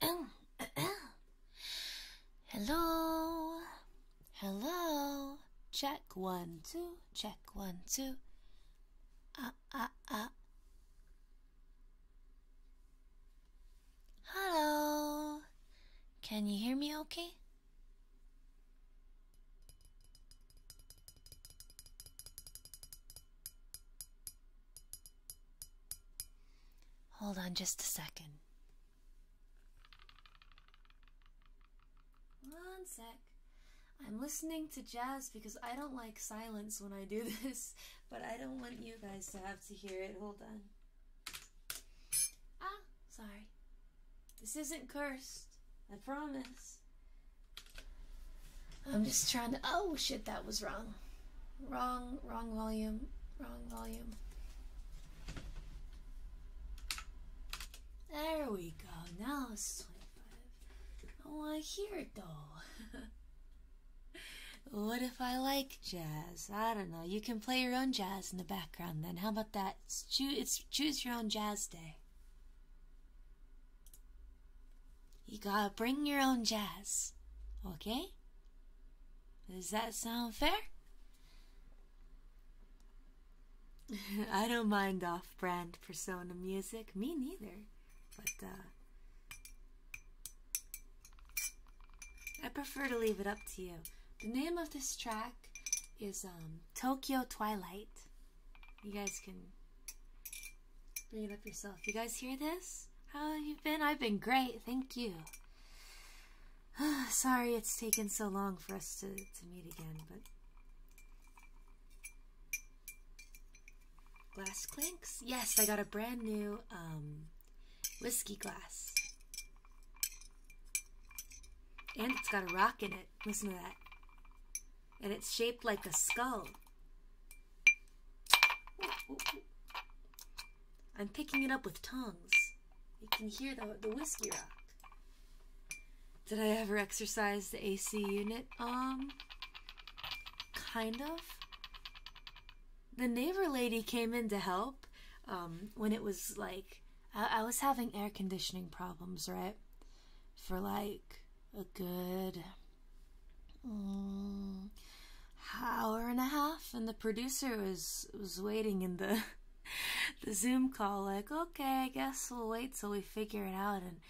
Hello. Hello. Check one, two. Check one, two. 啊啊啊！Hello, can you hear me okay? Hold on just a second. One sec. I'm listening to jazz because I don't like silence when I do this, but I don't want you guys to have to hear it. Hold on. Ah, sorry. This isn't cursed. I promise. I'm just trying to. Oh shit, that was wrong. Wrong, wrong volume, wrong volume. There we go. Now it's 25. Oh, I want to hear it though. what if I like jazz? I don't know. You can play your own jazz in the background then. How about that? It's choose, choose your own jazz day. You gotta bring your own jazz. Okay? Does that sound fair? I don't mind off brand persona music, me neither. But uh, I prefer to leave it up to you. The name of this track is um, Tokyo Twilight. You guys can bring it up yourself. You guys hear this? How have you been? I've been great, thank you. Sorry it's taken so long for us to, to meet again, but Glass clinks. Yes, I got a brand new um, whiskey glass. And it's got a rock in it. Listen to that. And it's shaped like a skull. I'm picking it up with tongs. You can hear the whiskey rock. Did I ever exercise the AC unit? Um, kind of. The neighbor lady came in to help um, when it was like, I, was having air conditioning problems, right? For like a good mm, hour and a half, and the producer was was waiting in the the Zoom call, like, okay, I guess we'll wait till we figure it out. And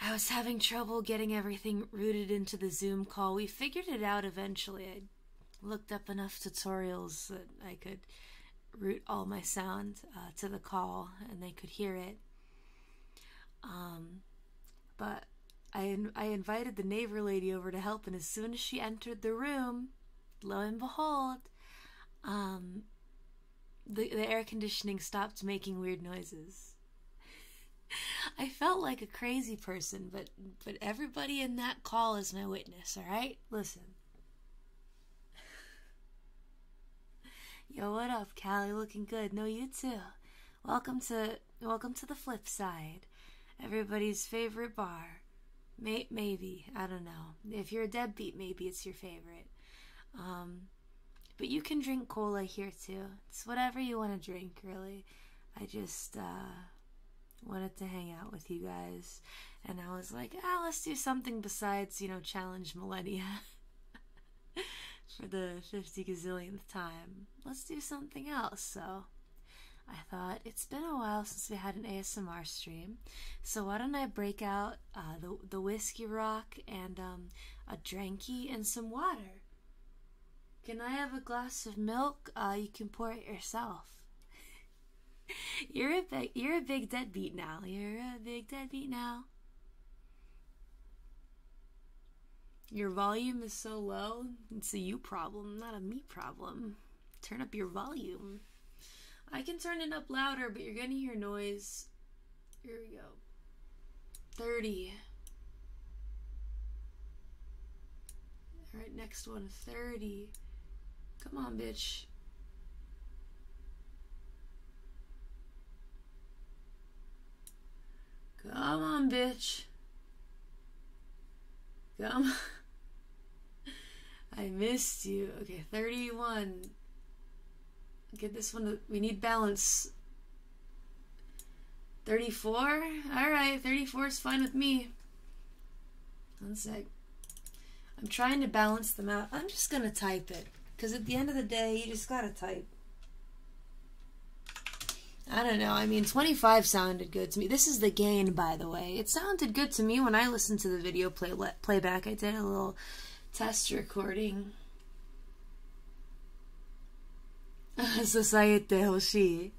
I was having trouble getting everything rooted into the Zoom call. We figured it out eventually. I looked up enough tutorials that I could route all my sound uh, to the call and they could hear it. Um, but I, I invited the neighbor lady over to help, and as soon as she entered the room, lo and behold, um, the, the air conditioning stopped making weird noises. I felt like a crazy person, but but everybody in that call is my witness, all right? Listen. Yo, what up, Callie? Looking good. No, you too. Welcome to welcome to the flip side. Everybody's favorite bar. May, maybe, I don't know. If you're a deadbeat, maybe it's your favorite. Um but you can drink cola here too. It's whatever you want to drink, really. I just uh, wanted to hang out with you guys, and I was like, ah, let's do something besides, you know, challenge millennia for the 50 gazillionth time. Let's do something else. So I thought it's been a while since we had an ASMR stream, so why don't I break out uh, the the whiskey rock and um, a dranky and some water. Can I have a glass of milk? Uh, you can pour it yourself. you're a big, you're a big deadbeat now. You're a big deadbeat now. Your volume is so low. It's a you problem, not a me problem. Turn up your volume. I can turn it up louder, but you're gonna hear noise. Here we go. 30. All right, next one, 30. Come on, bitch. Come on, bitch. Come on. I missed you. Okay, 31. Get this one. we need balance. 34? Alright, 34 is fine with me. One sec. I'm trying to balance them out. I'm just going to type it. Because at the end of the day, you just got to type. I don't know. I mean, 25 sounded good to me. This is the gain, by the way. It sounded good to me when I listened to the video play playback. I did a little test recording. 支えてほしい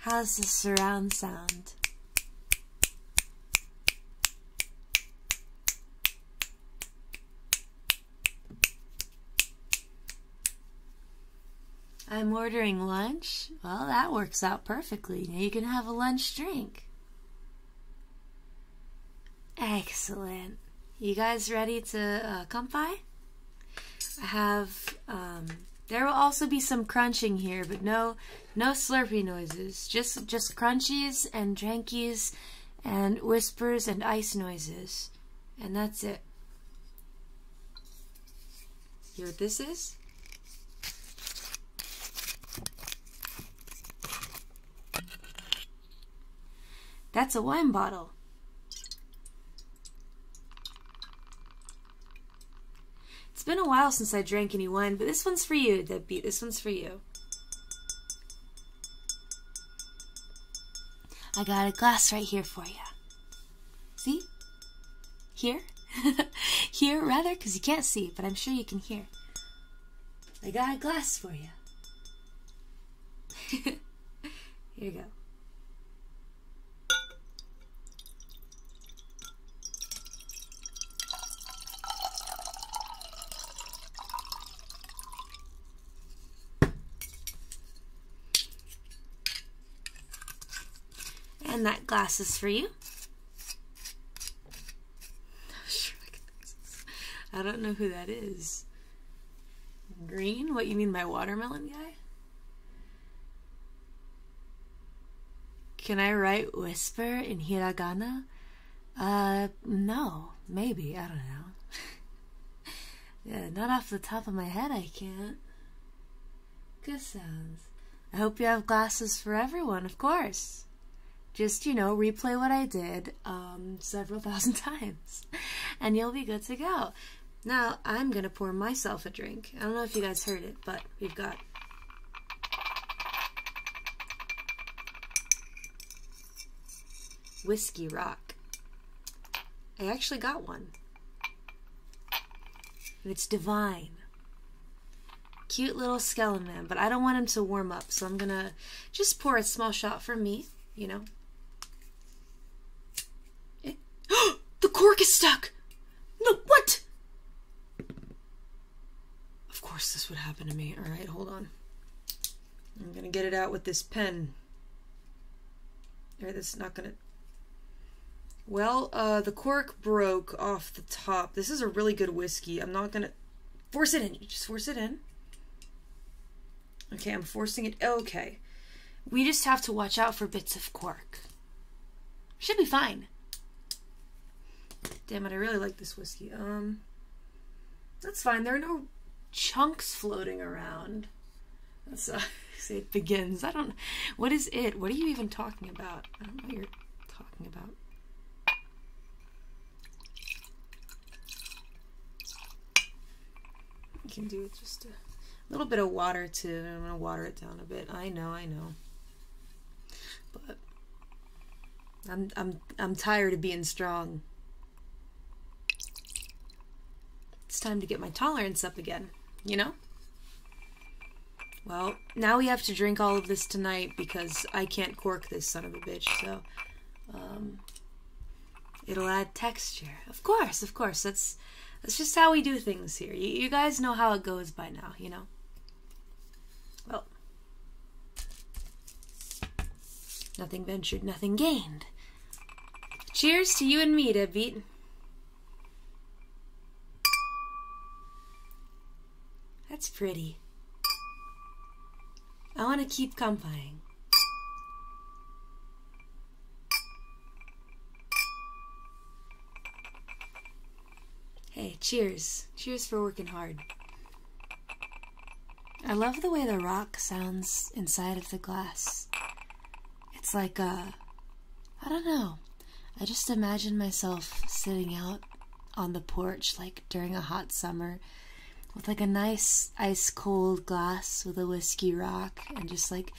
「How's the surround sound?」I'm ordering lunch. Well, that works out perfectly. Now you can have a lunch drink. Excellent. You guys ready to uh, come by? I have, um, there will also be some crunching here, but no, no slurpy noises. Just, just crunchies and drankies and whispers and ice noises and that's it. You know what this is? That's a wine bottle. It's been a while since I drank any wine, but this one's for you, beat. This one's for you. I got a glass right here for you. See? Here? here, rather, because you can't see, but I'm sure you can hear. I got a glass for you. here you go. And that glass is for you. I don't know who that is. Green? What you mean by watermelon guy? Can I write whisper in hiragana? Uh, no. Maybe. I don't know. Yeah, not off the top of my head, I can't. Good sounds. I hope you have glasses for everyone, of course. Just, you know, replay what I did um, several thousand times, and you'll be good to go. Now, I'm going to pour myself a drink. I don't know if you guys heard it, but we've got Whiskey Rock. I actually got one it's divine. Cute little skeleton, but I don't want him to warm up, so I'm going to just pour a small shot for me, you know. It, eh. the cork is stuck! No, what? Of course this would happen to me. All right, hold on. I'm going to get it out with this pen. Or this is not going to well, uh, the cork broke off the top. This is a really good whiskey. I'm not gonna force it in. just force it in. Okay, I'm forcing it. Okay. We just have to watch out for bits of cork. Should be fine. Damn it, I really like this whiskey. Um, that's fine. There are no chunks floating around. That's uh, it begins. I don't. What is it? What are you even talking about? I don't know what you're talking about. You can do it just a little bit of water to. I'm gonna water it down a bit. I know, I know. But I'm I'm I'm tired of being strong. It's time to get my tolerance up again, you know? Well, now we have to drink all of this tonight because I can't cork this son of a bitch, so um, it'll add texture. Of course, of course. That's that's just how we do things here. You, you guys know how it goes by now, you know? Well, nothing ventured, nothing gained. Cheers to you and me, Deadbeat. That's pretty. I want to keep companying. Hey, cheers. Cheers for working hard. I love the way the rock sounds inside of the glass it's like a uh, I don't know. I just imagine myself sitting out on the porch like during a hot summer with like a nice ice cold glass with a whiskey rock and just like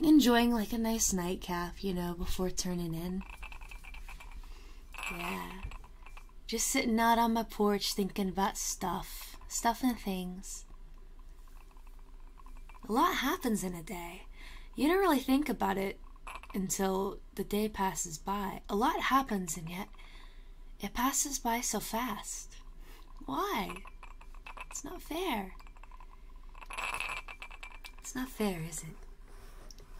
enjoying like a nice nightcap, you know, before turning in. Yeah. Just sitting out on my porch thinking about stuff, stuff and things. A lot happens in a day. You don't really think about it until the day passes by. A lot happens, and yet it passes by so fast. Why? It's not fair. It's not fair, is it?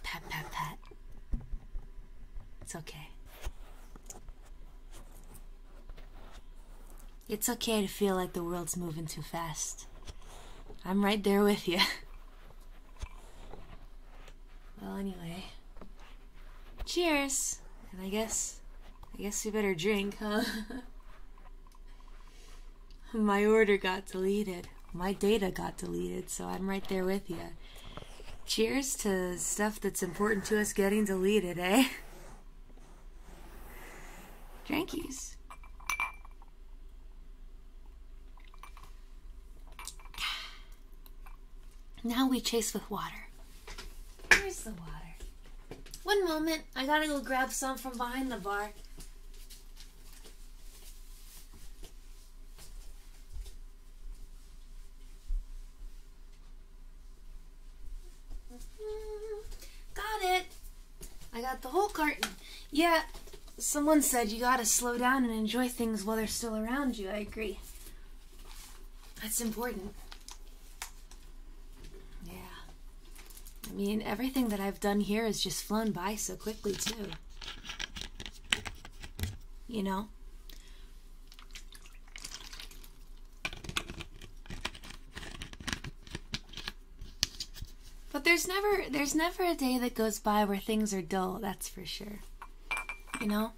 Pat, pat, pat. It's okay. It's okay to feel like the world's moving too fast. I'm right there with you. Well, anyway. Cheers! And I guess. I guess we better drink, huh? My order got deleted. My data got deleted, so I'm right there with you. Cheers to stuff that's important to us getting deleted, eh? Jankies. Now we chase with water. Where's the water? One moment, I gotta go grab some from behind the bar. Mm-hmm. Got it. I got the whole carton. Yeah, someone said you gotta slow down and enjoy things while they're still around you. I agree. That's important. Yeah. I mean, everything that I've done here has just flown by so quickly, too. You know? But there's never there's never a day that goes by where things are dull, that's for sure. You know?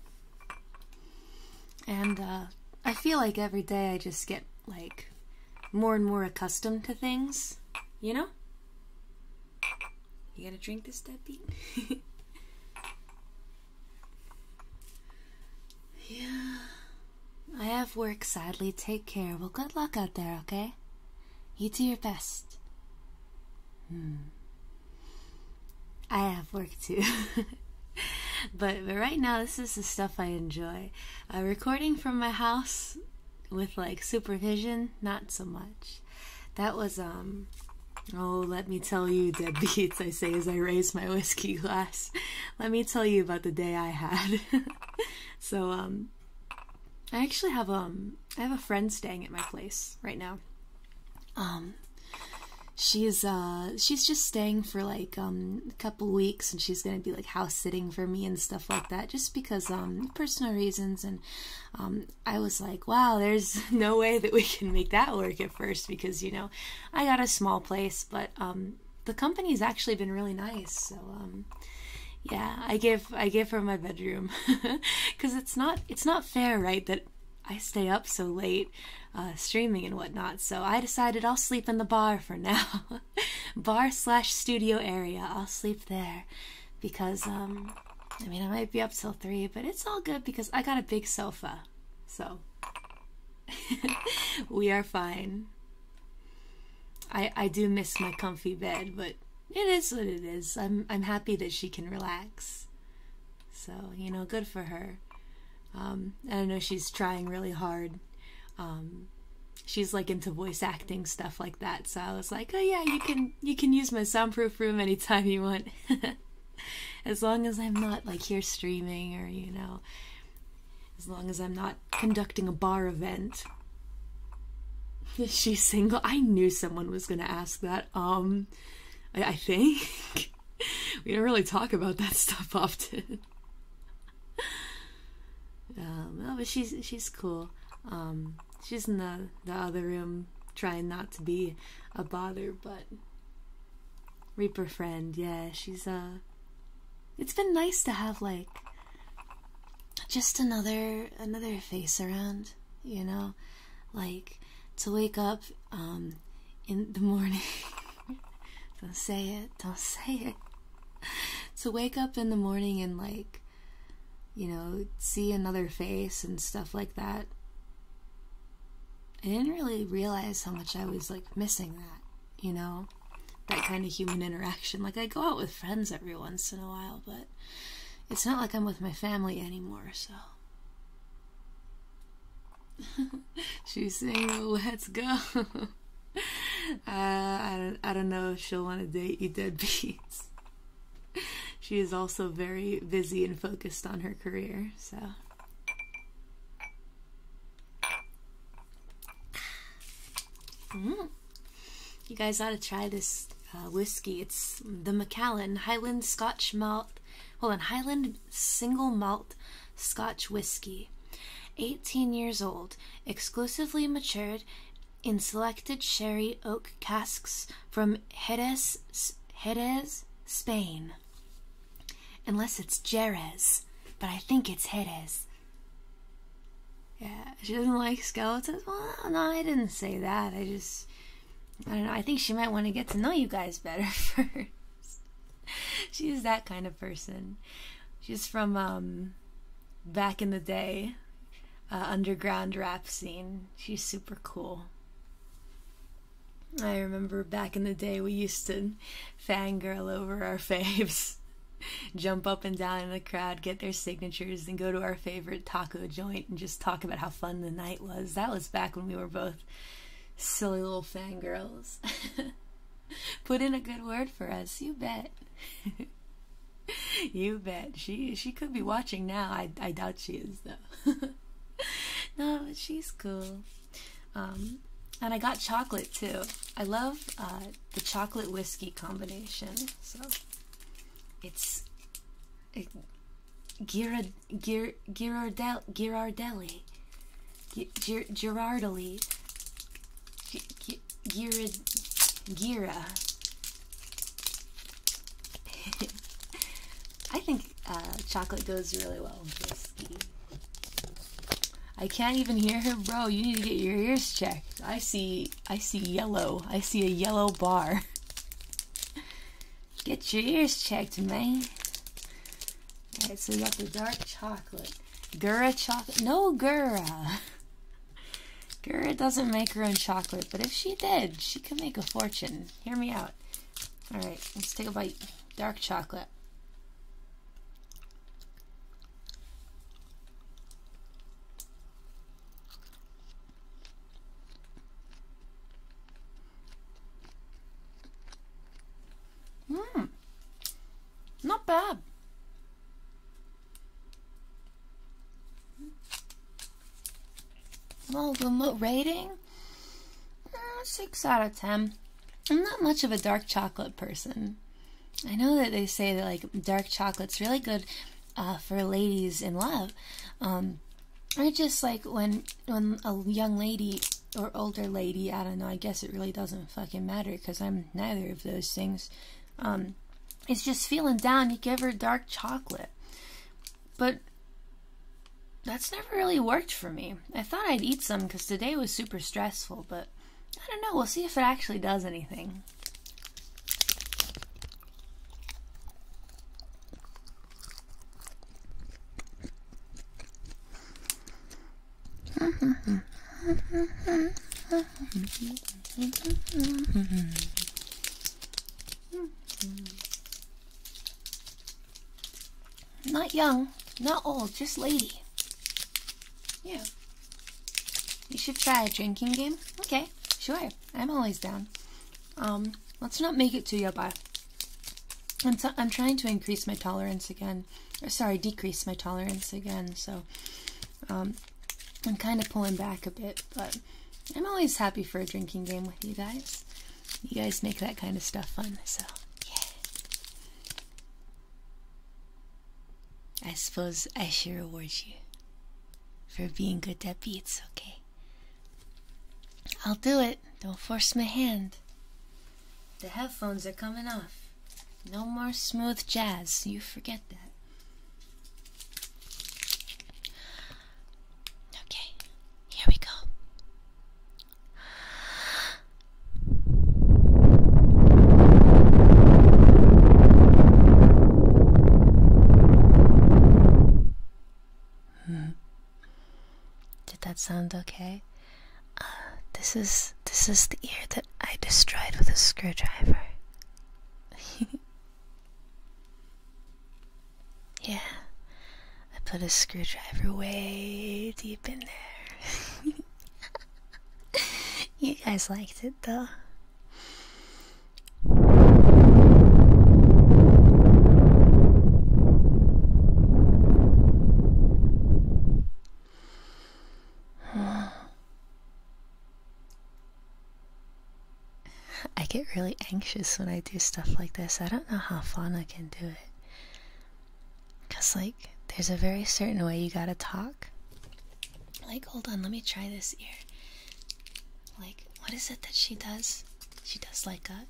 And uh I feel like every day I just get like more and more accustomed to things, you know? You gotta drink this dead yeah. I have work, sadly. Take care. Well, good luck out there, okay? You do your best. Hmm. I have work too. but, but right now, this is the stuff I enjoy. recording from my house with like supervision, not so much. That was, um, oh, let me tell you, deadbeats, I say as I raise my whiskey glass. Let me tell you about the day I had. so um I actually have um I have a friend staying at my place right now. Um she is uh she's just staying for like um a couple weeks and she's gonna be like house sitting for me and stuff like that just because um personal reasons and um I was like wow there's no way that we can make that work at first because you know I got a small place but um the company's actually been really nice. So um, yeah, I give I give her my bedroom because it's not it's not fair, right? That I stay up so late uh, streaming and whatnot. So I decided I'll sleep in the bar for now, bar slash studio area. I'll sleep there because um, I mean I might be up till three, but it's all good because I got a big sofa, so we are fine. I I do miss my comfy bed, but it is what it is. I'm I'm happy that she can relax. So, you know, good for her. Um, I know she's trying really hard. Um, she's like into voice acting stuff like that. So I was like, "Oh yeah, you can you can use my soundproof room anytime you want." as long as I'm not like here streaming or you know as long as I'm not conducting a bar event. Is she single? I knew someone was gonna ask that. Um, I, think. we don't really talk about that stuff often. um, well, but she's she's cool. Um, she's in the the other room trying not to be a bother, but Reaper friend, yeah, she's uh it's been nice to have like just another another face around, you know, like to wake up um in the morning. don't say it, don't say it. To wake up in the morning and like you know, see another face and stuff like that. I didn't really realize how much I was like missing that, you know? that kind of human interaction. Like, I go out with friends every once in a while, but it's not like I'm with my family anymore, so. She's saying, let's go. Uh, I, don't, I don't know if she'll want to date you deadbeats. she is also very busy and focused on her career, so. Mm. You guys ought to try this uh, whiskey. It's the Macallan Highland Scotch Malt. well, on, Highland Single Malt Scotch Whiskey. 18 years old, exclusively matured in selected sherry oak casks from Jerez, Jerez Spain. Unless it's Jerez, but I think it's Jerez. Yeah, she doesn't like skeletons. Well, no, I didn't say that. I just, I don't know. I think she might want to get to know you guys better first. She's that kind of person. She's from um, back in the day, uh, underground rap scene. She's super cool. I remember back in the day we used to fangirl over our faves, jump up and down in the crowd, get their signatures, and go to our favorite taco joint and just talk about how fun the night was. That was back when we were both silly little fangirls. Put in a good word for us, you bet. you bet. She she could be watching now. I I doubt she is though. no, she's cool. Um, and I got chocolate too. I love uh, the chocolate whiskey combination. So it's it, Ghirard, Ghir, Ghirardel, Ghirardelli, Gir, Girardelli, Gira. I think uh, chocolate goes really well with whiskey. I can't even hear her, bro. You need to get your ears checked. I see I see yellow. I see a yellow bar. get your ears checked, man. Alright, so we got the dark chocolate. Gura chocolate. No Gura. Gura doesn't make her own chocolate, but if she did, she could make a fortune. Hear me out. Alright, let's take a bite. Dark chocolate. Mmm. Not bad. Well, the rating? Eh, 6 out of 10. I'm not much of a dark chocolate person. I know that they say that like dark chocolate's really good uh, for ladies in love. Um, I just like when when a young lady or older lady, I don't know. I guess it really doesn't fucking matter because I'm neither of those things. Um, it's just feeling down. You give her dark chocolate, but that's never really worked for me. I thought I'd eat some because today was super stressful, but I don't know. We'll see if it actually does anything. Not young, not old, just lady. Yeah. You should try a drinking game. Okay, sure. I'm always down. Um, let's not make it too yobba. I'm, trying to increase my tolerance again. sorry, decrease my tolerance again. So, um, I'm kind of pulling back a bit, but I'm always happy for a drinking game with you guys. You guys make that kind of stuff fun, so yeah. I suppose I should reward you for being good at beats, okay? I'll do it. Don't force my hand. The headphones are coming off. No more smooth jazz. You forget that. Okay, here we go. Hmm. Did that sound okay? Uh, this is this is the ear that I destroyed with a screwdriver. yeah, I put a screwdriver way deep in there. you guys liked it though. I get really anxious when I do stuff like this. I don't know how Fauna can do it. Because, like, there's a very certain way you gotta talk. Like, hold on, let me try this ear. Like, what is it that she does? She does like a.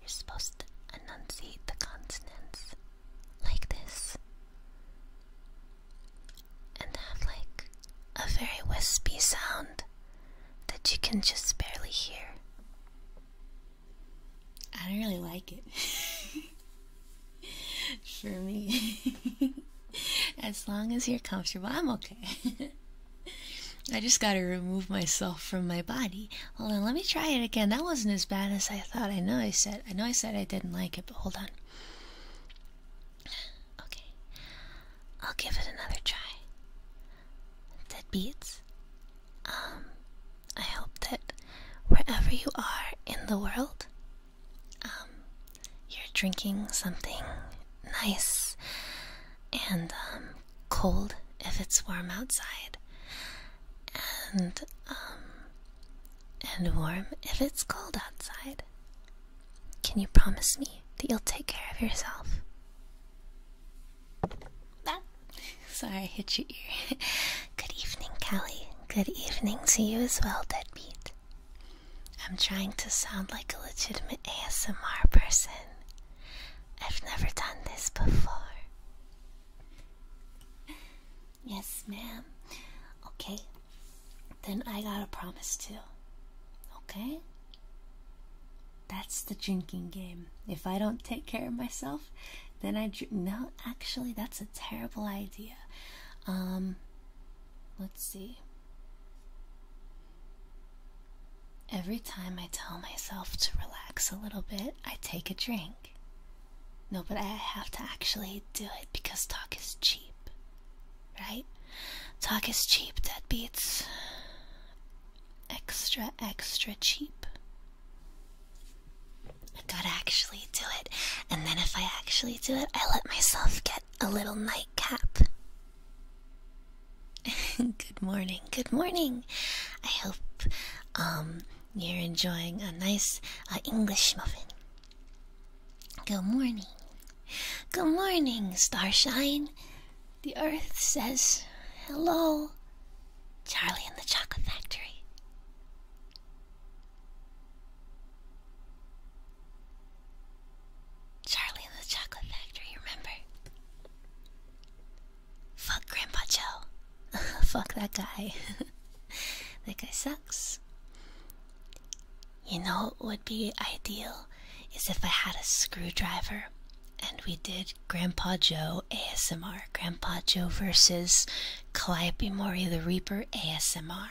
You're supposed to enunciate the consonants like this. And have like a very wispy sound that you can just barely hear. I don't really like it. for me. as long as you're comfortable, I'm okay. I just gotta remove myself from my body. Hold on, let me try it again. That wasn't as bad as I thought. I know I said I know I said I didn't like it, but hold on. Okay. I'll give it another try. Dead beats. Um I hope that wherever you are in the world um, you're drinking something nice and um, cold if it's warm outside, and um, and warm if it's cold outside. Can you promise me that you'll take care of yourself? Sorry, I hit your ear. Good evening, Callie. Good evening to you as well, Deadbeat. I'm trying to sound like a legitimate ASMR person. I've never done this before. Yes, ma'am. Okay. Then I got a promise too. Okay? That's the drinking game. If I don't take care of myself, then I drink. No, actually, that's a terrible idea. Um, Let's see. Every time I tell myself to relax a little bit, I take a drink. No, but I have to actually do it because talk is cheap. Right? Talk is cheap, that beats extra, extra cheap. I gotta actually do it. And then if I actually do it, I let myself get a little nightcap. good morning, good morning. I hope um, you're enjoying a nice uh, English muffin. Good morning. Good morning, Starshine. The earth says hello. Charlie and the Chocolate Factory. Charlie and the Chocolate Factory, remember? Fuck Grandpa Joe. Fuck that guy. that guy sucks. You know it would be ideal is if I had a screwdriver and we did Grandpa Joe ASMR. Grandpa Joe versus Calliope Mori the Reaper ASMR.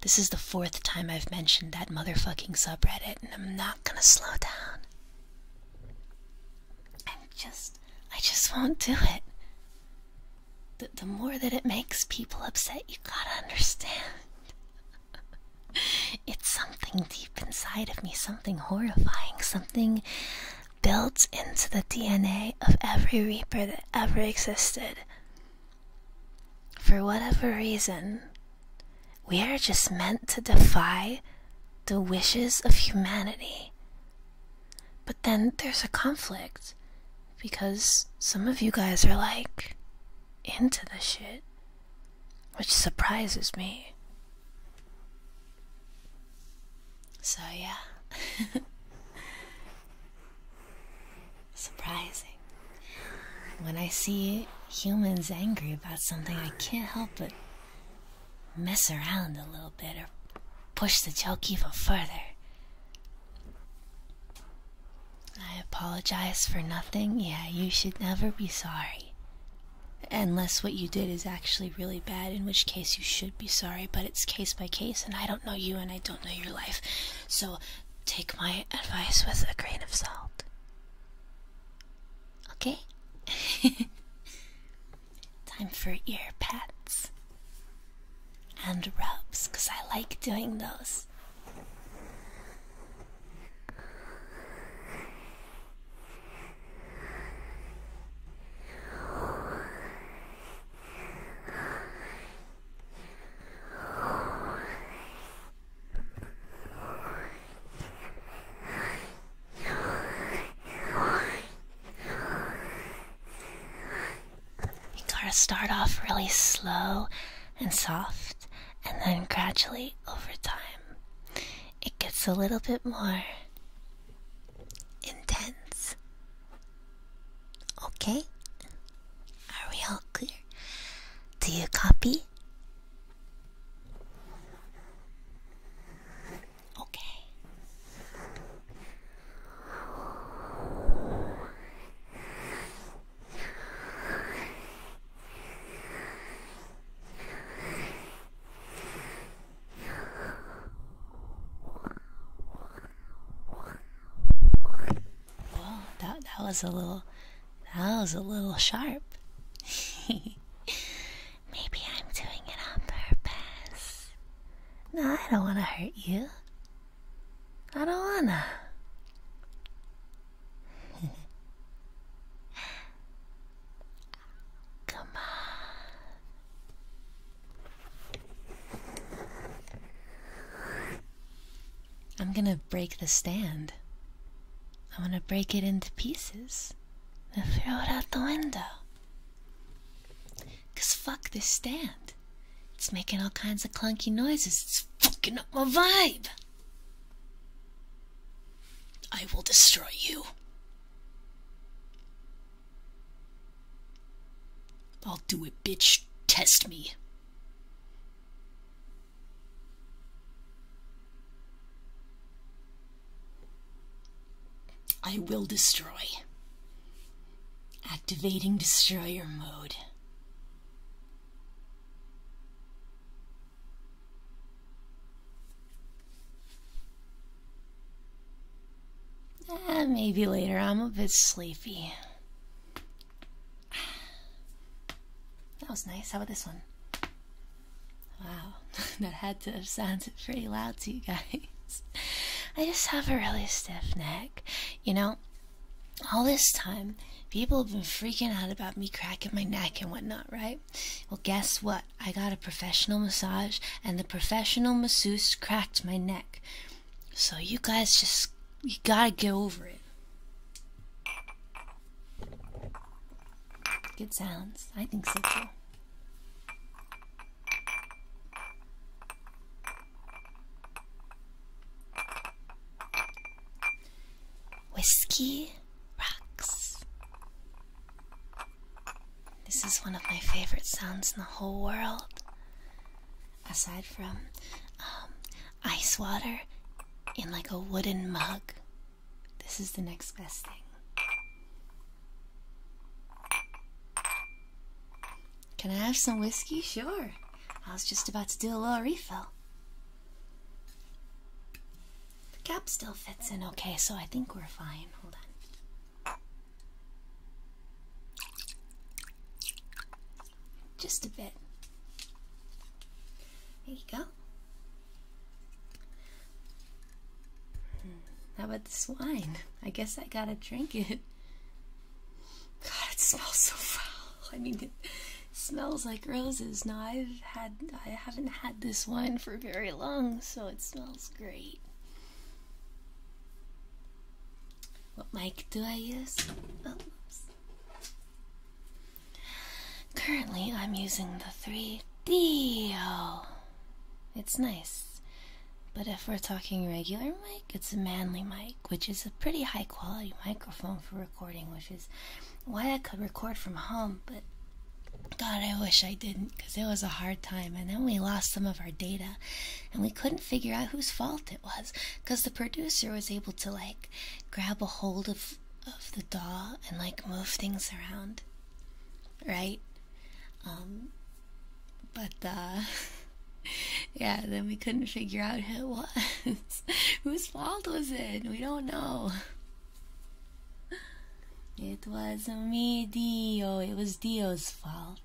This is the fourth time I've mentioned that motherfucking subreddit, and I'm not gonna slow down. i just, I just won't do it. the more that it makes people upset, you gotta understand. it's something deep inside of me, something horrifying, something built into the DNA of every Reaper that ever existed. For whatever reason, we are just meant to defy the wishes of humanity. But then there's a conflict because some of you guys are like into the shit, which surprises me. So, yeah. surprising. When I see humans angry about something, I can't help but mess around a little bit or push the joke even further. I apologize for nothing. Yeah, you should never be sorry. Unless what you did is actually really bad, in which case you should be sorry, but it's case by case, and I don't know you and I don't know your life. So Take my advice with a grain of salt. Okay? Time for ear pets and rubs, because I like doing those. You gotta start off really slow and soft, and then gradually over time, it gets a little bit more intense. Okay? Are we all clear? Do you copy? Okay. Well, that that was a little that was a little sharp. Maybe I'm doing it on purpose. No, I don't want to hurt you. I don't wanna. Come on. I'm gonna break the stand. I'm gonna break it into pieces and throw it out the window. Cause fuck this stand. It's making all kinds of clunky noises. It's fucking up my vibe. I will destroy you. I'll do it, bitch. Test me. I will destroy. Activating destroyer mode. Eh, maybe later. I'm a bit sleepy. That was nice. How about this one? Wow, that had to have sounded pretty loud to you guys. I just have a really stiff neck. You know, all this time, people have been freaking out about me cracking my neck and whatnot, right? Well, guess what? I got a professional massage, and the professional masseuse cracked my neck. So you guys just you gotta get over it. Good sounds. I think so too. Whiskey rocks. This is one of my favorite sounds in the whole world. Aside from um, ice water in like a wooden mug. This is the next best thing. Can I have some whiskey? Sure. I was just about to do a little refill. The cap still fits in okay, so I think we're fine. Hold on just a bit. There you go. Hmm, how about this wine? I guess I gotta drink it. God, it smells so foul. I mean, it smells like roses. Now I've had, I haven't had this wine for very long, so it smells great. What mic do I use? Oh, Currently, I'm using the 3DO. It's nice. But if we're talking regular mic, it's a manly mic, which is a pretty high quality microphone for recording, which is why I could record from home, but God, I wish I didn't, because it was a hard time, and then we lost some of our data, and we couldn't figure out whose fault it was because the producer was able to like grab a hold of of the doll and like move things around right um but uh yeah then we couldn't figure out who it was Who's fault was it we don't know it was me dio it was dio's fault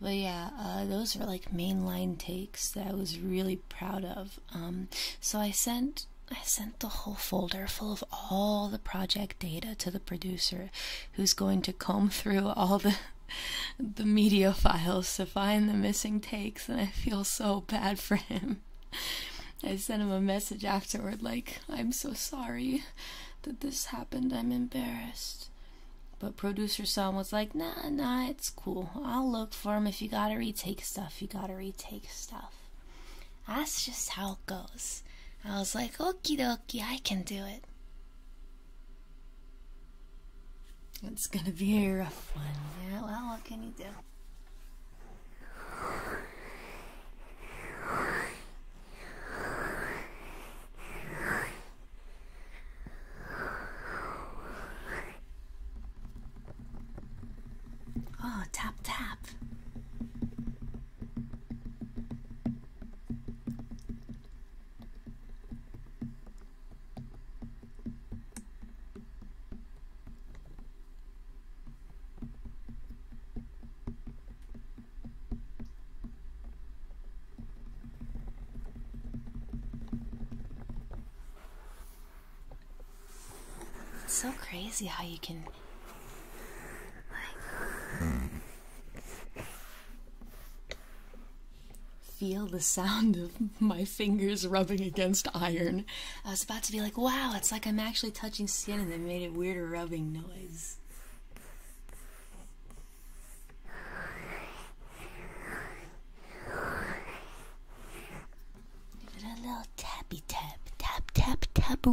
but yeah uh, those were like mainline takes that was really proud of. Um, so I sent I sent the whole folder full of all the project data to the producer, who's going to comb through all the the media files to find the missing takes, and I feel so bad for him. I sent him a message afterward, like, I'm so sorry that this happened. I'm embarrassed. But producer Sam was like, nah, nah, it's cool. I'll look for him. If you gotta retake stuff, you gotta retake stuff. That's just how it goes. I was like, okie dokie, I can do it. It's gonna be a rough one. Yeah, well, what can you do? Oh, tap, tap so crazy how you can feel the sound of my fingers rubbing against iron. I was about to be like, wow, it's like I'm actually touching skin and they made it weirder rubbing noise. Give it a little tappy tap, tap, tap, tap,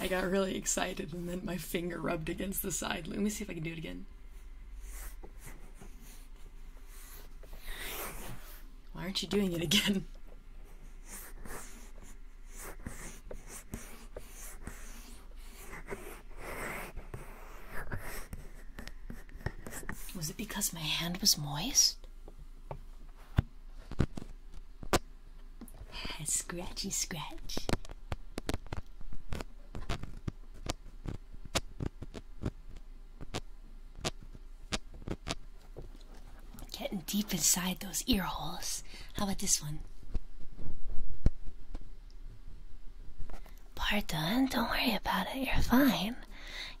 I got really excited and then my finger rubbed against the side. Let me see if I can do it again. Why aren't you doing it again? Was it because my hand was moist? Scratchy scratch. Getting deep inside those ear holes. How about this one? Pardon, don't worry about it. You're fine.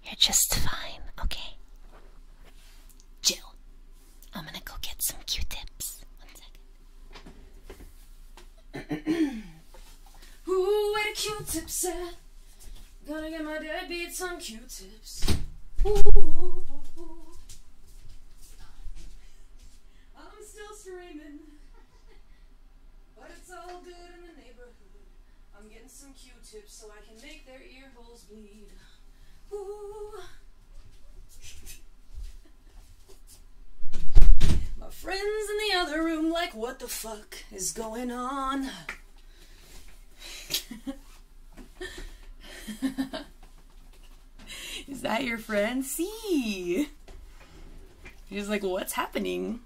You're just fine, okay? Jill, I'm gonna go get some q tips. One second. Ooh, where the q tips at? Gonna get my dead beats on q tips ooh, I'm still screaming, but it's all good in the neighborhood. I'm getting some Q-tips so I can make their ear holes bleed. Ooh. My friends in the other room like, what the fuck is going on? Is that your friend? C? He's like, what's happening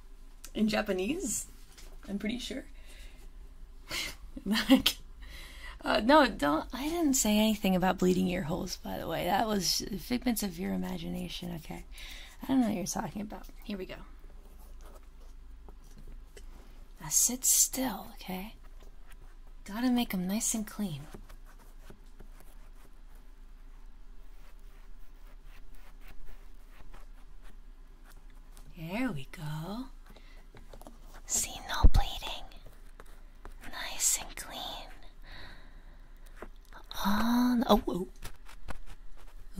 in Japanese? I'm pretty sure. Uh, no, don't. I didn't say anything about bleeding ear holes, by the way. That was figments of your imagination. Okay. I don't know what you're talking about. Here we go. Now sit still, okay? Gotta make them nice and clean. There we go. See, no bleeding. Nice and clean. On. Oh, oh.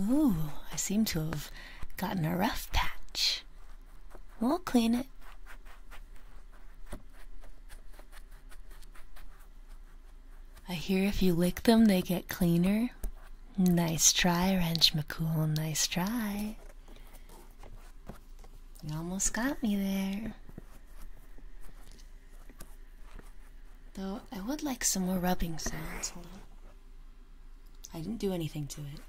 Ooh, I seem to have gotten a rough patch. We'll clean it. I hear if you lick them, they get cleaner. Nice try, Wrench McCool. Nice try. You almost got me there. Though I would like some more rubbing sounds. I didn't do anything to it.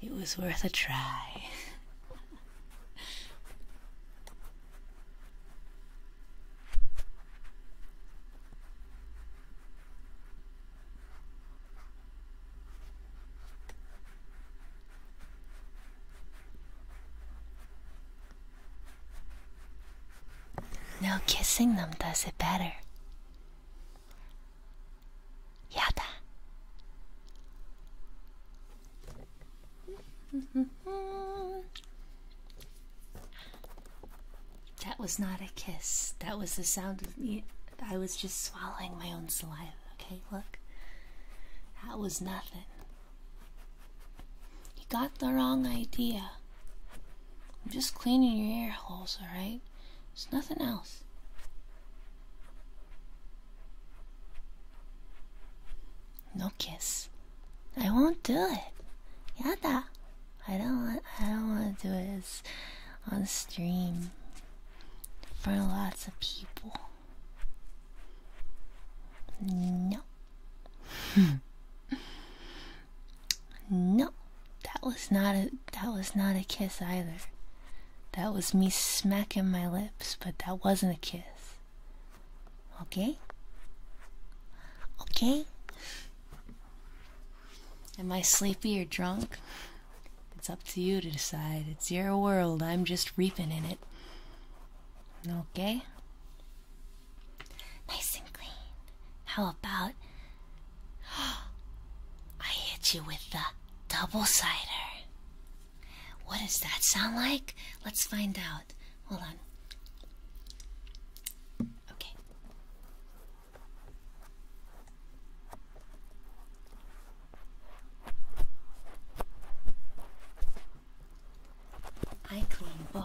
It was worth a try. No kissing them does it better. やだ That was not a kiss. That was the sound of me. I was just swallowing my own saliva. Okay, look. That was nothing. You got the wrong idea. I'm just cleaning your ear holes, alright? It's nothing else. No kiss. I won't do it. Yada. I don't want I don't wanna do this on stream for lots of people. No. No, that was not a that was not a kiss either. That was me smacking my lips, but that wasn't a kiss. Okay? Okay? Am I sleepy or drunk? It's up to you to decide. It's your world. I'm just reaping in it. Okay? Nice and clean. How about I hit you with the double cider. What does that sound like? Let's find out. Hold on. Okay. I clean both.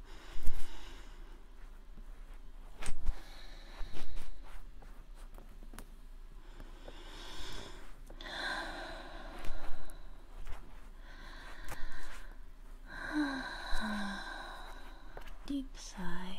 Deep sigh.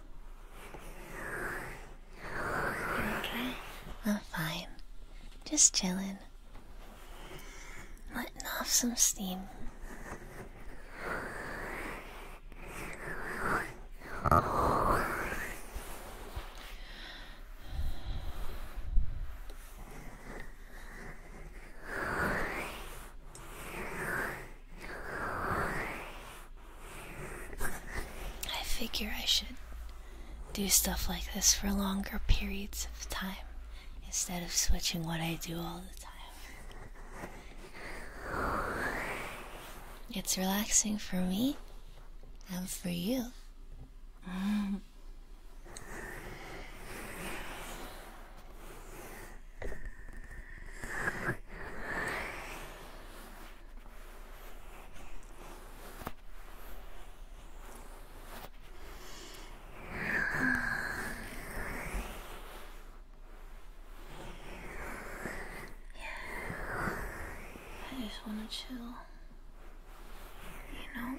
I'm fine. Just chilling. Letting off some steam. I figure I should do stuff like this for longer periods of time instead of switching what I do all the time. It's relaxing for me and for you. I just want to chill, you know?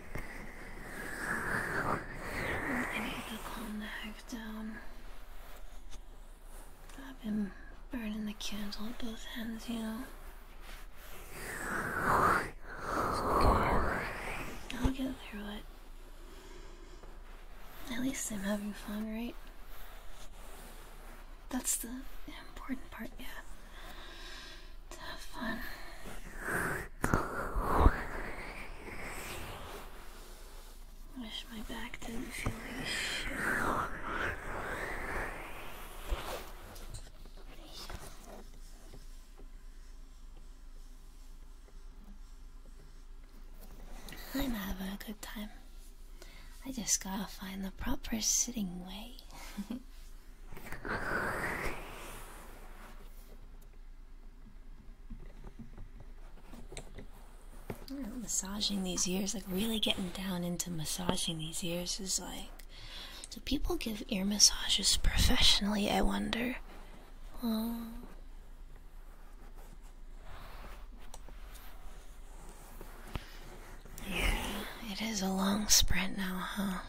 I need to calm the heck down. I've been burning the candle at both ends, you know. I'll get through it. At least I'm having fun, right? That's the important part, yeah. To have fun. Wish my back didn't feel like shit. I'm having a good time. I just gotta find the proper sitting way. massaging these ears, like really getting down into massaging these ears is like. Do people give ear massages professionally? I wonder. Yeah, it is a long sprint now, huh?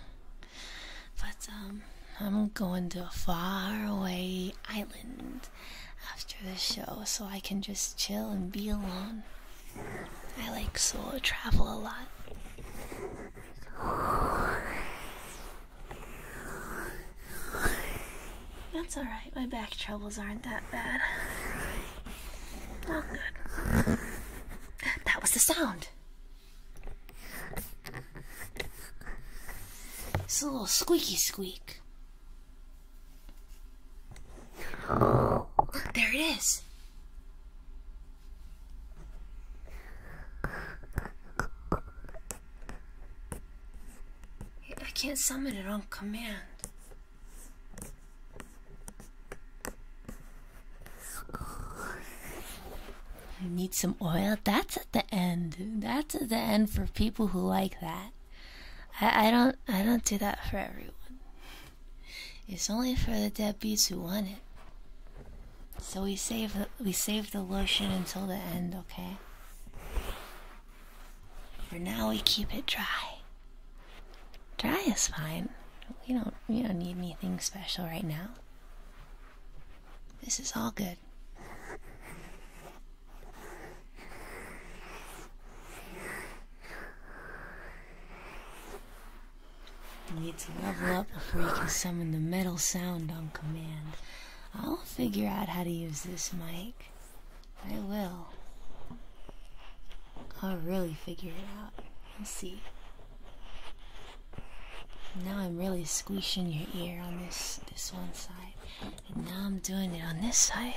But um, I'm going to a faraway island after the show so I can just chill and be alone. I like solo travel a lot. That's alright, my back troubles aren't that bad. All good. That was the sound! It's a little squeaky squeak. Look, there it is. I can't summon it on command. I need some oil. That's at the end. That's at the end for people who like that. I, don't I don't do that for everyone. It's only for the dead deadbeats who want it. So we save the, we save the lotion until the end, okay? For now, we keep it dry. Dry is fine. We don't we don't need anything special right now. This is all good. You need to level up before you can summon the metal sound on command. I'll figure out how to use this mic. I will. I'll really figure it out. Let's see. Now I'm really squishing your ear on this this one side. And now I'm doing it on this side.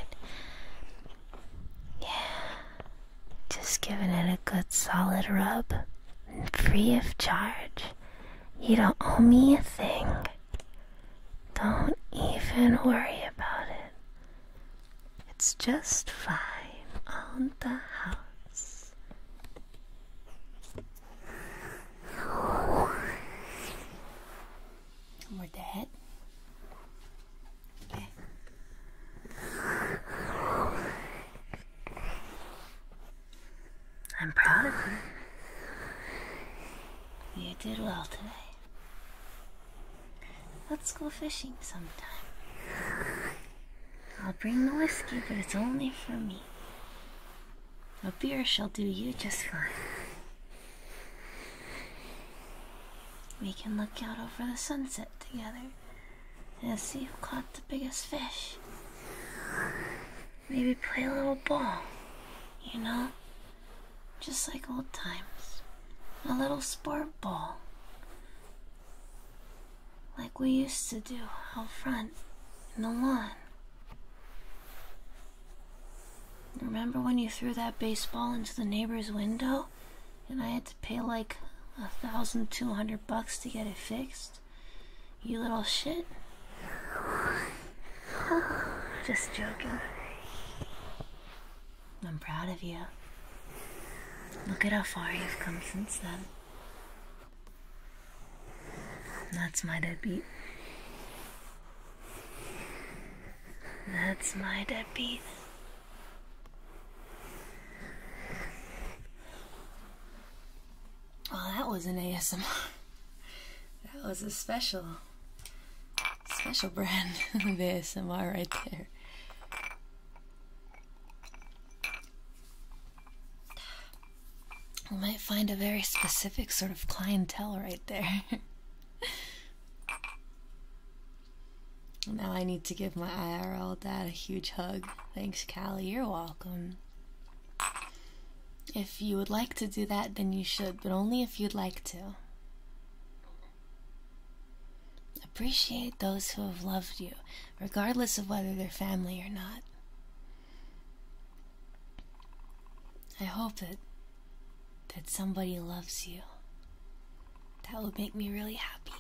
Yeah, just giving it a good solid rub, free of charge. You don't owe me a thing. Don't even worry about it. It's just fine on the house. We're dead. I'm proud of you. You did well today. Let's go fishing sometime. I'll bring the whiskey, but it's only for me. A beer shall do you just fine. We can look out over the sunset together and see who caught the biggest fish. Maybe play a little ball, you know? Just like old times. A little sport ball. Like we used to do out front in the lawn. Remember when you threw that baseball into the neighbor's window? and I had to pay like a thousand two hundred bucks to get it fixed. You little shit. Just joking. I'm proud of you. Look at how far you've come since then. That's my deadbeat. That's my deadbeat. Well, that was an ASMR. That was a special, special brand of ASMR right there. We might find a very specific sort of clientele right there. Now I need to give my IRL dad a huge hug. Thanks, Callie. You're welcome. If you would like to do that, then you should, but only if you'd like to. Appreciate those who have loved you, regardless of whether they're family or not. I hope that that somebody loves you. That would make me really happy.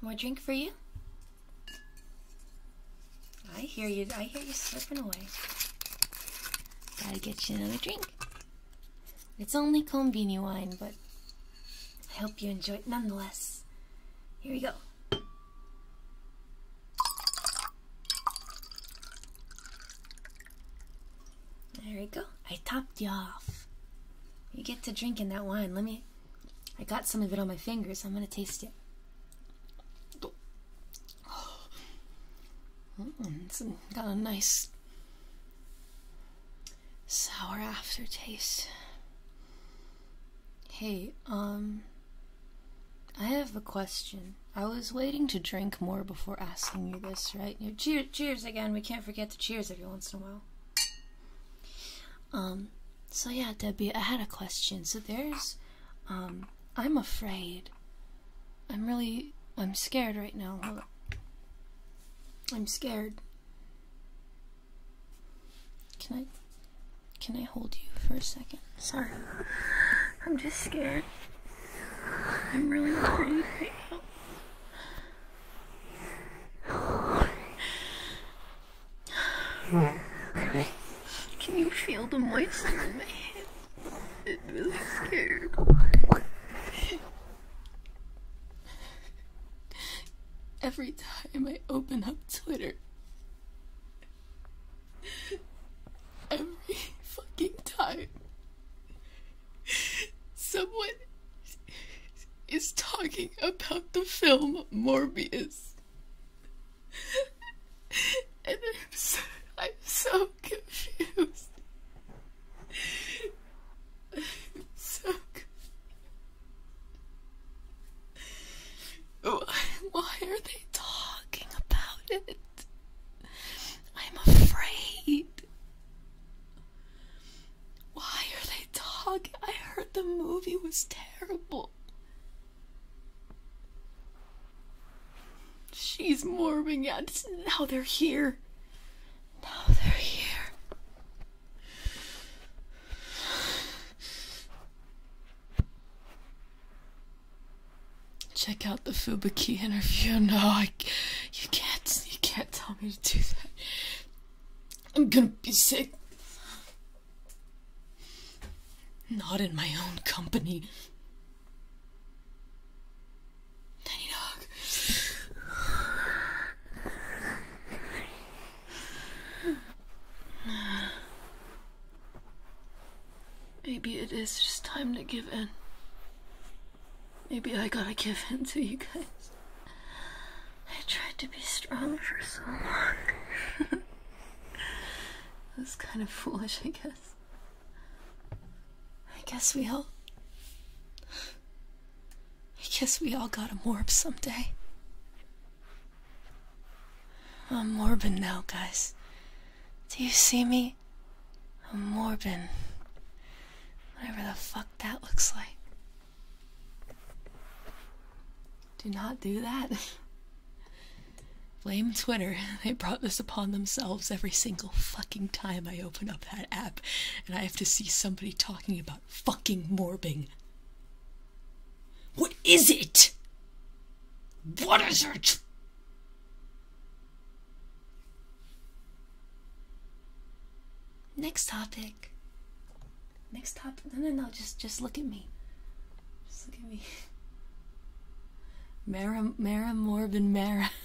More drink for you? I hear you. I hear you slipping away. Gotta get you another drink. It's only kombini wine, but I hope you enjoyed. nonetheless. Here we go. There we go. I topped you off. You get to drinking that wine. Let me. I got some of it on my fingers. I'm gonna taste it. Mm, it's got a nice sour aftertaste. Hey, um, I have a question. I was waiting to drink more before asking you this, right? Cheers! cheers again. We can't forget the cheers every once in a while. Um, so yeah, Debbie, I had a question. So there's, um, I'm afraid. I'm really, I'm scared right now. I'm scared. Can I can I hold you for a second? Sorry. I'm just scared. I'm really scared. Can you feel the moisture in my hand? It really scared every time I open up Twitter. Every fucking time someone is talking about the film Morbius. and I'm so, I'm so confused. I'm so confused. Why are they talking about it? I'm afraid. Why are they talking? I heard the movie was terrible. She's morbing out. Now they're here. Now they're here. Check out the Fubuki interview. No, I, you can't. You can't tell me to do that. I'm gonna be sick. Not in my own company. Tiny dog. Maybe it is just time to give in. Maybe I gotta give in to you guys. I tried to be strong for so long. That's kind of foolish, I guess. I guess we all. I guess we all gotta morph someday. I'm morbid now, guys. Do you see me? I'm morbid. Whatever the fuck that looks like. Do not do that. Blame Twitter. They brought this upon themselves every single fucking time I open up that app and I have to see somebody talking about fucking morbing. What is it? What is it? Next topic. Next topic. No, no, no. Just, just look at me. Just look at me. Mara, Mara, Morbin, Mara.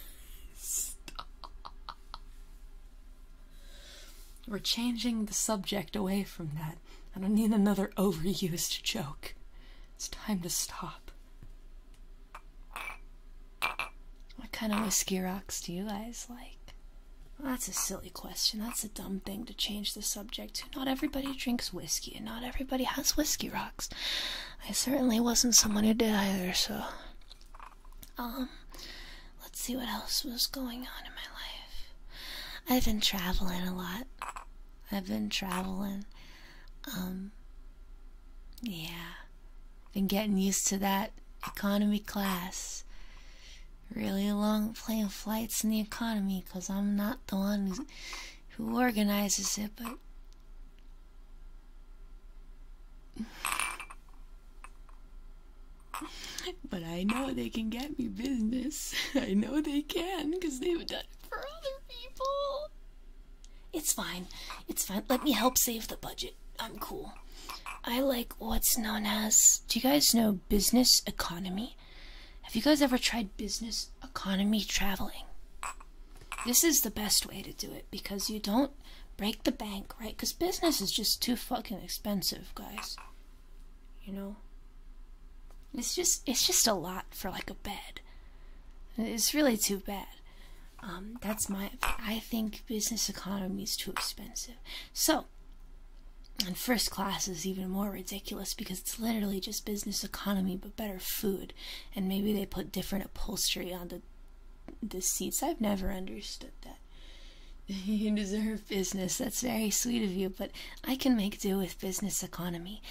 We're changing the subject away from that. I don't need another overused joke. It's time to stop. What kind of whiskey rocks do you guys like? that's a silly question. That's a dumb thing to change the subject to. Not everybody drinks whiskey, and not everybody has whiskey rocks. I certainly wasn't someone who did either, so. Um, Let's see what else was going on in my life. I've been traveling a lot. I've been traveling. Um yeah. Been getting used to that economy class. Really long plane flights in the economy cuz I'm not the one who's, who organizes it, but but I know they can get me business. I know they can because they've done it for other people. It's fine. It's fine. Let me help save the budget. I'm cool. I like what's known as. Do you guys know business economy? Have you guys ever tried business economy traveling? This is the best way to do it because you don't break the bank, right? Because business is just too fucking expensive, guys. You know? It's just it's just a lot for like a bed. It's really too bad. Um, that's my I think business economy is too expensive. So and first class is even more ridiculous because it's literally just business economy but better food. And maybe they put different upholstery on the the seats. I've never understood that. You deserve business. That's very sweet of you, but I can make do with business economy.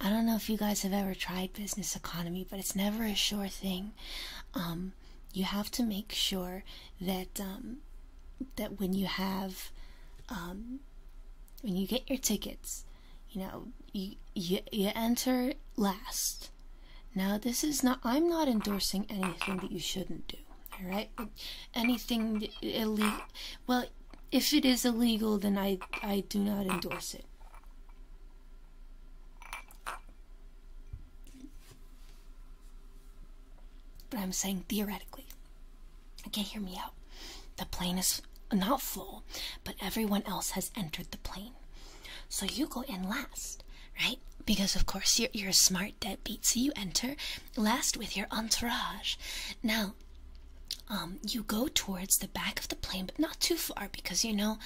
I don't know if you guys have ever tried business economy, but it's never a sure thing. Um, you have to make sure that um, that when you have um, when you get your tickets, you know you, you you enter last. Now this is not. I'm not endorsing anything that you shouldn't do. All right, anything illegal. Well, if it is illegal, then I I do not endorse it. But I'm saying theoretically. Okay, hear me out. The plane is not full, but everyone else has entered the plane. So you go in last, right? Because of course you're you're a smart deadbeat, so you enter, last with your entourage. Now, um, you go towards the back of the plane, but not too far because you know,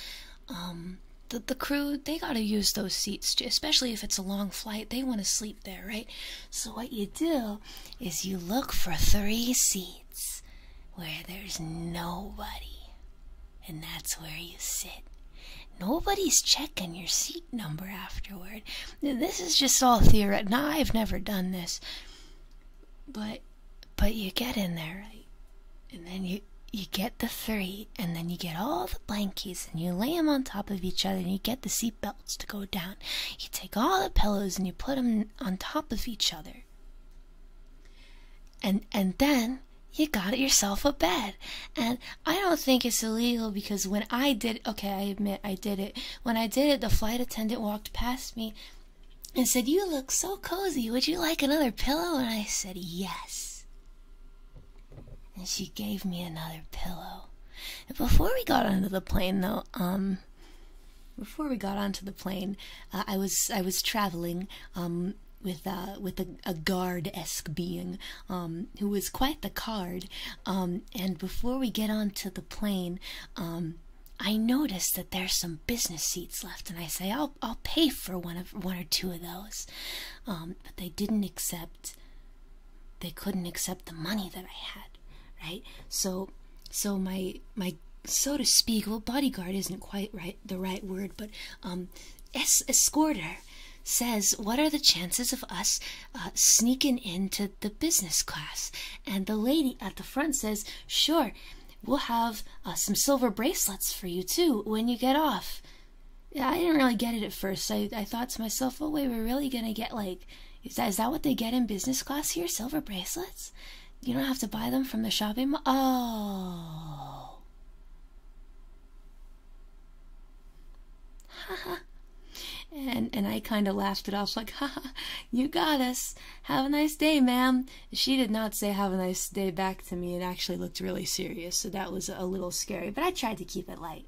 um, the the crew they gotta use those seats, especially if it's a long flight. They want to sleep there, right? So what you do is you look for three seats where there's nobody, and that's where you sit. Nobody's checking and your seat number afterward. This is just all theory. Now I've never done this, but but you get in there, And then you you get the three, and then you get all the blankies, and you lay them on top of each other, and you get the seat belts to go down. You take all the pillows and you put them on top of each other. And and then you got it yourself a bed. And I don't think it's illegal because when I did, okay, I admit I did it when I did it, the flight attendant walked past me and said, You look so cozy. Would you like another pillow? And I said, Yes. And she gave me another pillow. And before we got onto the plane, though, um, before we got onto the plane, uh, I was I was traveling um, with uh, with a, a guard esque being um, who was quite the card. Um, and before we get onto the plane, um, I noticed that there's some business seats left, and I say I'll I'll pay for one of one or two of those, um, but they didn't accept. They couldn't accept the money that I had, right? So, so my my so to speak, well, bodyguard isn't quite right the right word, but um, es escorter says, "What are the chances of us uh, sneaking into the business class. And the lady at the front says, Sure, we'll have uh, some silver bracelets for you too when you get off. I didn't really get it at first. I, I thought to myself, oh, wait, we're really going to get like, is that, is that what they get in business class here? Silver bracelets? You don't have to buy them from the shopping mall? Oh. And and I kind of laughed it off, like, "Ha, ha, you got us. Have a nice day, ma'am." She did not say "Have a nice day" back to me. It actually looked really serious, so that was a little scary. But I tried to keep it light.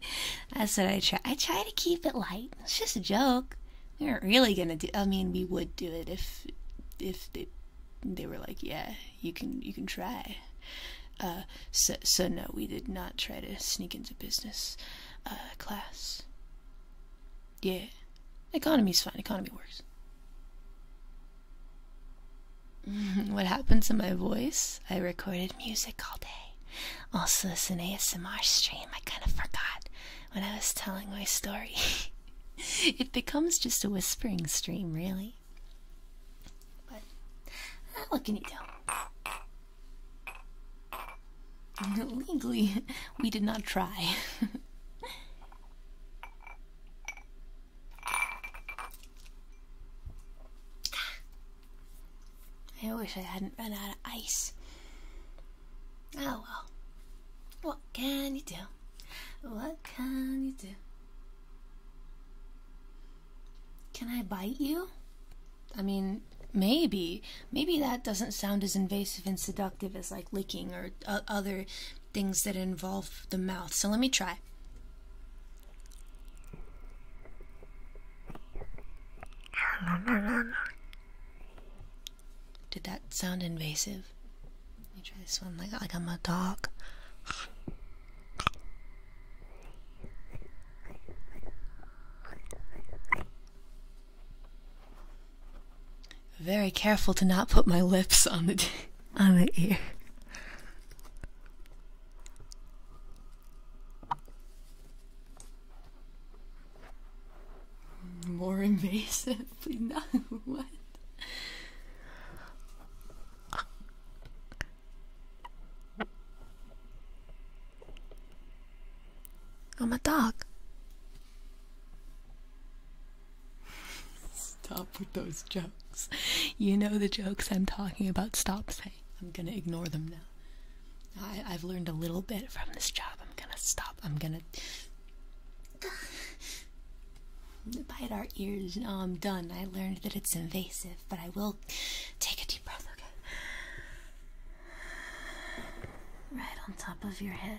I said I try. I try to keep it light. It's just a joke. We aren't really gonna do. I mean, we would do it if if they they were like, "Yeah, you can you can try." Uh, so so no, we did not try to sneak into business. Uh, class. Yeah. Economy's fine. Economy works. what happens to my voice? I recorded music all day. Also, it's an ASMR stream. I kind of forgot when I was telling my story. it becomes just a whispering stream, really. But, uh, what can you do? Legally, we did not try. I wish I hadn't run out of ice. Oh well. What can you do? What can you do? Can I bite you? I mean, maybe. Maybe that doesn't sound as invasive and seductive as like licking or uh, other things that involve the mouth. So let me try. Did that sound invasive? Let me try this one like, like I'm a dog. Very careful to not put my lips on the on the ear. More invasive, than What? I'm a dog. Stop with those jokes. You know the jokes I'm talking about. Stop saying. I'm gonna ignore them now. I, have learned a little bit from this job. I'm gonna stop. I'm gonna bite our ears. No, I'm done. I learned that it's invasive, but I will take a deep breath. Okay right on top of your head.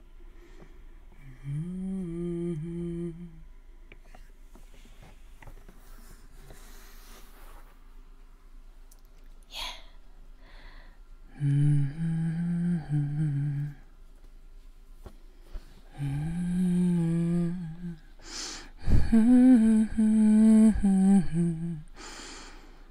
Mm-hmm. Yeah. Mm-hmm. Mm-hmm.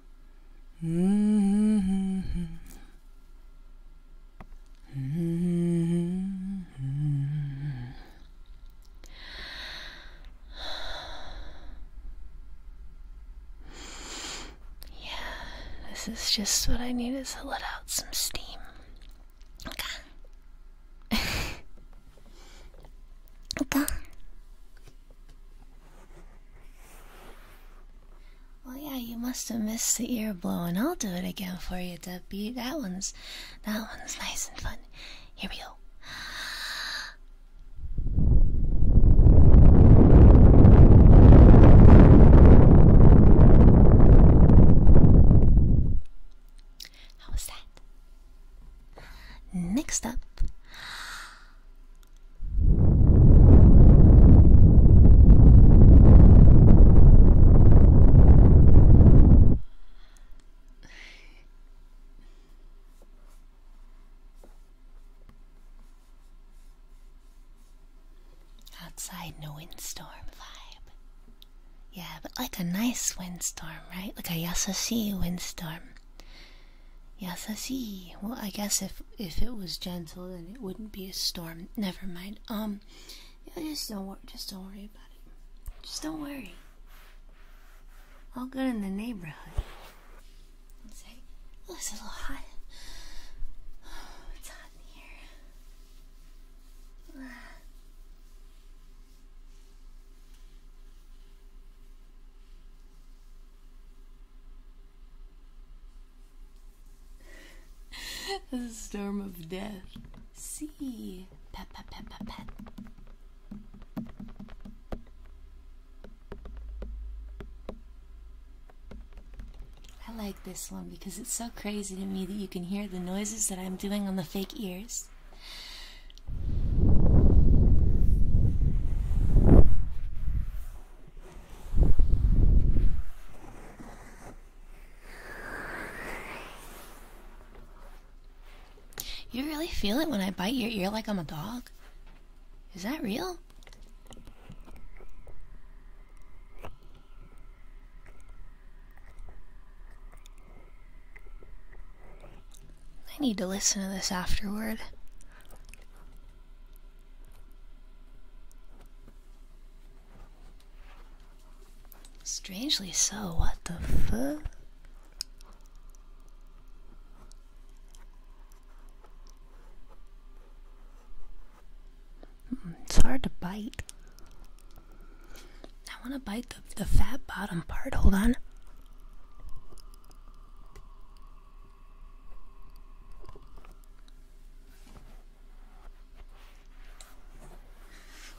Yeah, this is just what I need is to let out some steam. Okay. okay. Well, yeah, you must have missed the ear blow, and I'll do it again for you, Debbie. That one's, that one's nice and fun. Here we go. How was that? Next up, Outside, no windstorm vibe. Yeah, but like a nice windstorm, right? Like a yasushi windstorm. Yes, I see. Well, I guess if if it was gentle, then it wouldn't be a storm. Never mind. Um, yeah, just don't wor just don't worry about it. Just don't worry. All good in the neighborhood. Let's say, oh, it's a little hot. it's hot in here the storm of death. See, I like this one because it's so crazy to me that you can hear the noises that I'm doing on the fake ears. You really feel it when I bite your ear like I'm a dog? Is that real? I need to listen to this afterward. Strangely so, what the fu? Hmm, it's hard to bite. I want to bite the, the fat bottom part. Hold on.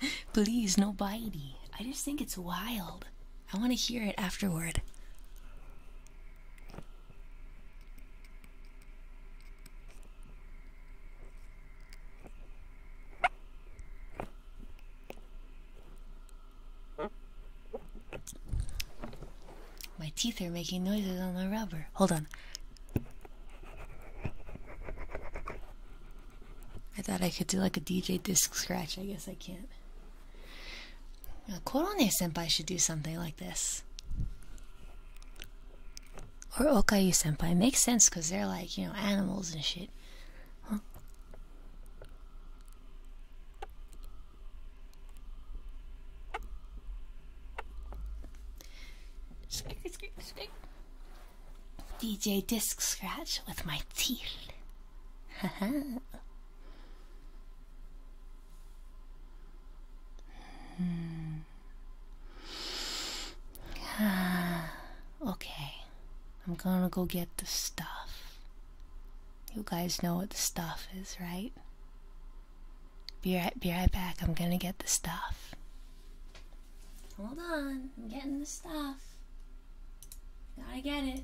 Please, no bitey. I just think it's wild. I want to hear it afterward. My teeth are making noises on the rubber. Hold on. I thought I could do like a DJ disc scratch. I guess I can't. Korone senpai should do something like this. Or Okayu senpai. makes sense because they're like, you know, animals and shit. Squeak, squeak, squeak. DJ disc scratch with my teeth. Haha. Hmm. Ah, okay, I'm gonna go get the stuff. You guys know what the stuff is, right? Be right, be right back. I'm gonna get the stuff. Hold on, I'm getting the stuff. Gotta get it.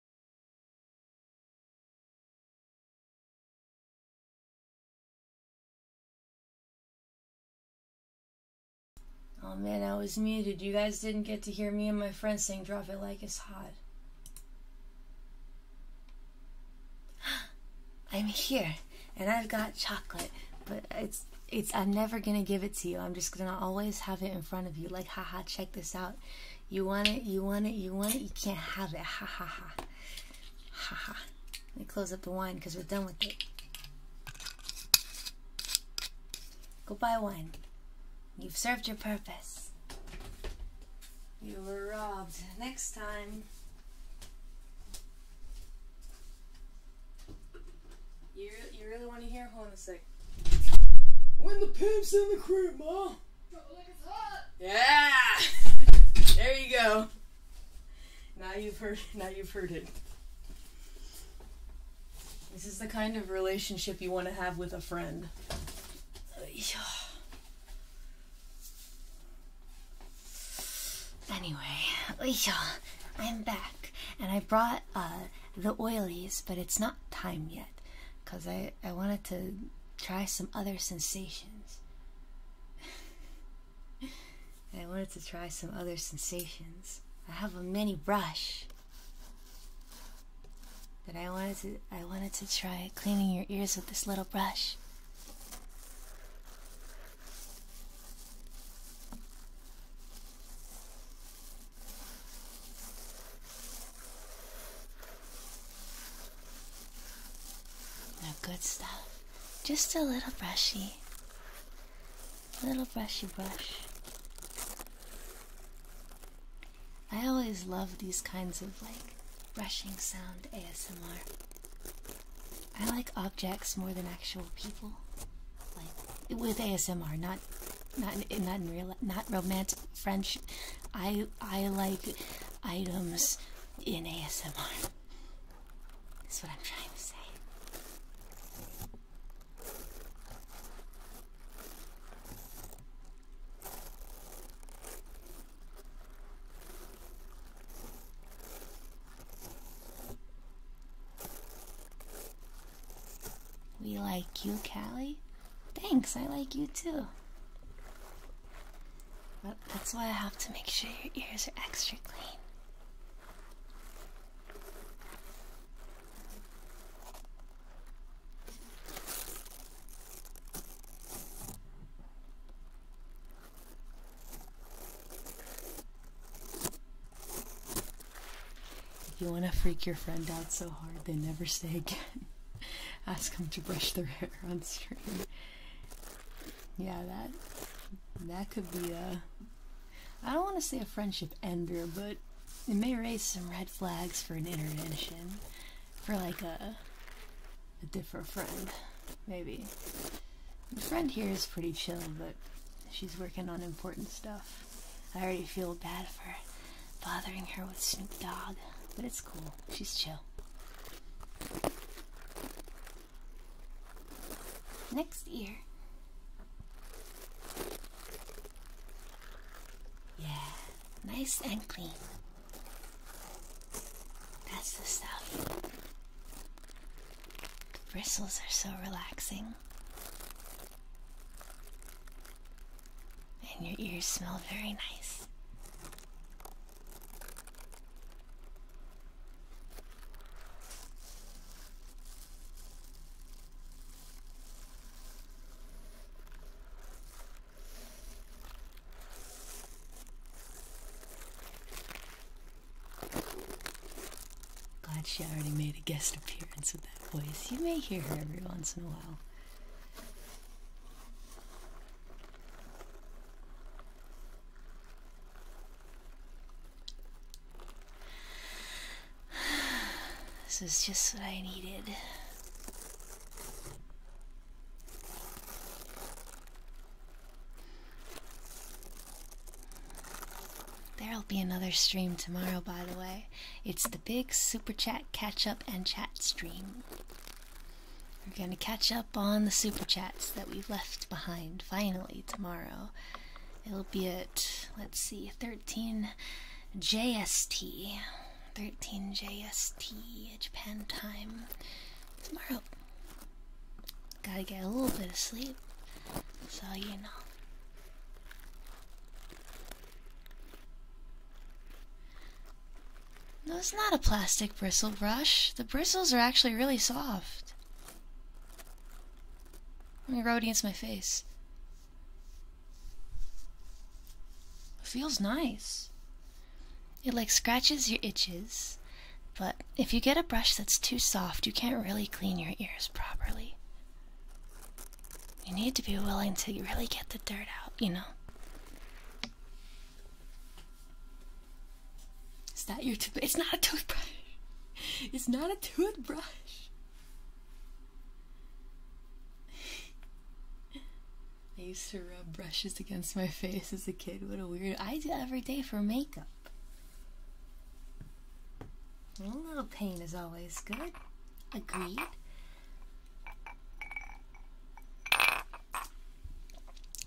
Oh man, I was muted. You guys didn't get to hear me and my friend saying Drop It Like It's Hot. I'm here and I've got chocolate, but it's it's I'm never gonna give it to you. I'm just gonna always have it in front of you. Like, haha, check this out. You want it, you want it, you want it, you can't have it. Ha ha ha. Ha ha. Let me close up the wine because we're done with it. Go buy wine. You've served your purpose. You were robbed. Next time. You, you really want to hear? Hold on a sec. When the pimp's in the crib, ma! Yeah. There you go. Now you've heard. Now you've heard it. This is the kind of relationship you want to have with a friend. Anyway, I'm back, and I brought uh, the oilies, but it's not time yet because I, I wanted to try some other sensations. I wanted to try some other sensations. I have a mini brush. But I wanted to I wanted to try cleaning your ears with this little brush. Now, good stuff. Just a little brushy. A little brushy brush. I always love these kinds of like brushing sound ASMR. I like objects more than actual people. Like with ASMR, not not not in real not romantic French. I I like items in ASMR. That's what I'm trying to say. We like you, Callie. Thanks, I like you too that's why I have to make sure your ears are extra clean. If You want to freak your friend out so hard they never say again. Ask them to brush their hair on stream yeah, that that could be a. I don't want to say a friendship ender, but it may raise some red flags for an intervention, for like a a different friend, maybe. The friend here is pretty chill, but she's working on important stuff. I already feel bad for bothering her with Snoop Dogg, but it's cool. She's chill. Next ear. Yeah, nice and clean. That's the stuff. The bristles are so relaxing. And your ears smell very nice. Glad she already made a guest appearance with that voice. You may hear her every once in a while. This is just what I needed. There'll be another stream tomorrow, by the way. It's the big super chat catch up and chat stream. We're going to catch up on the super chats that we left behind finally tomorrow. It'll be at, let's see, 13 JST. 13 JST Japan time tomorrow. Gotta get a little bit of sleep, so you know. No, it's not a plastic bristle brush. The bristles are actually really soft. i me rub it against my face. feels nice. It like scratches your itches, but if you get a brush that's too soft, you can't really clean your ears properly. You need to be willing to really get the dirt out, you know? Is that your toothbrush? It's not a toothbrush. It's not a toothbrush. I used to rub brushes against my face as a kid. What a weird. I do every day for makeup. A little pain is always good. Agreed.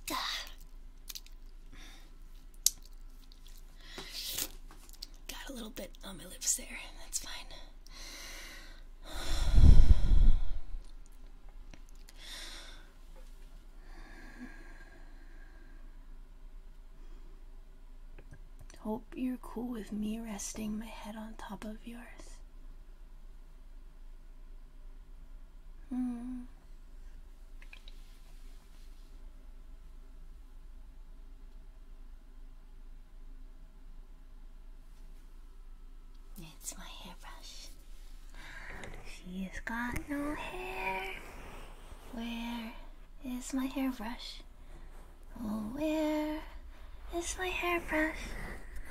Got a little bit on my lips there. That's fine. Hope you're cool with me resting my head on top of yours. Hmm. It's my hairbrush. She's got no hair. Where is my hairbrush? Oh, where is my hairbrush?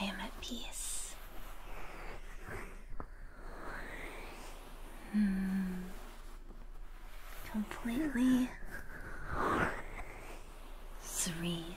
I am at peace. Hmm. Completely serene.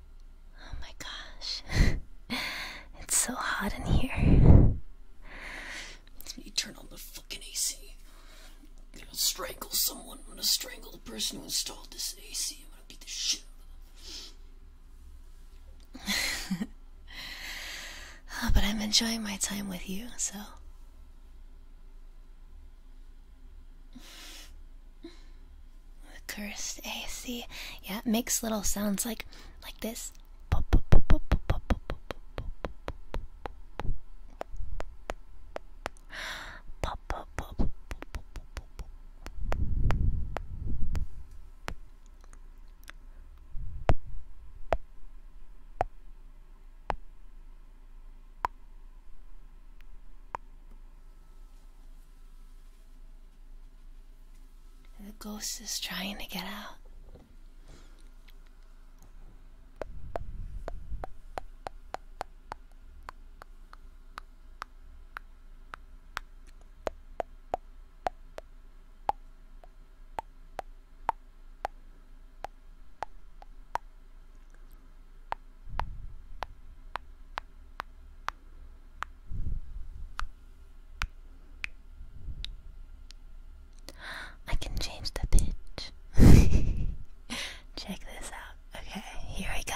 Oh my gosh. it's so hot in here. Let me turn on the fucking AC. I'm gonna strangle someone. I'm gonna strangle the person who installed this AC. I'm gonna beat the shit out of them. Oh, but I'm enjoying my time with you, so the cursed AC. Yeah, it makes little sounds like like this. The ghost is trying to get out. I can change the pitch. Check this out. Okay, here we go.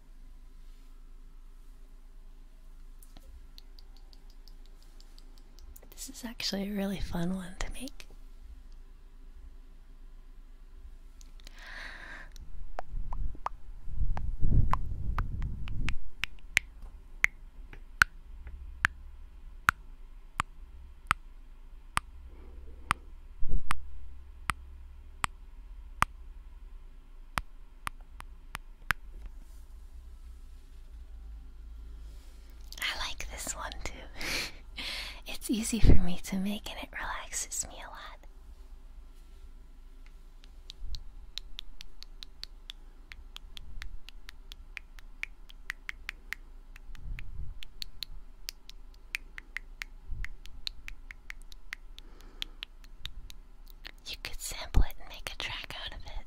This is actually a really fun one to make. I like this one too. it's easy for me to make and it relaxes me a lot. You could sample it and make a track out of it.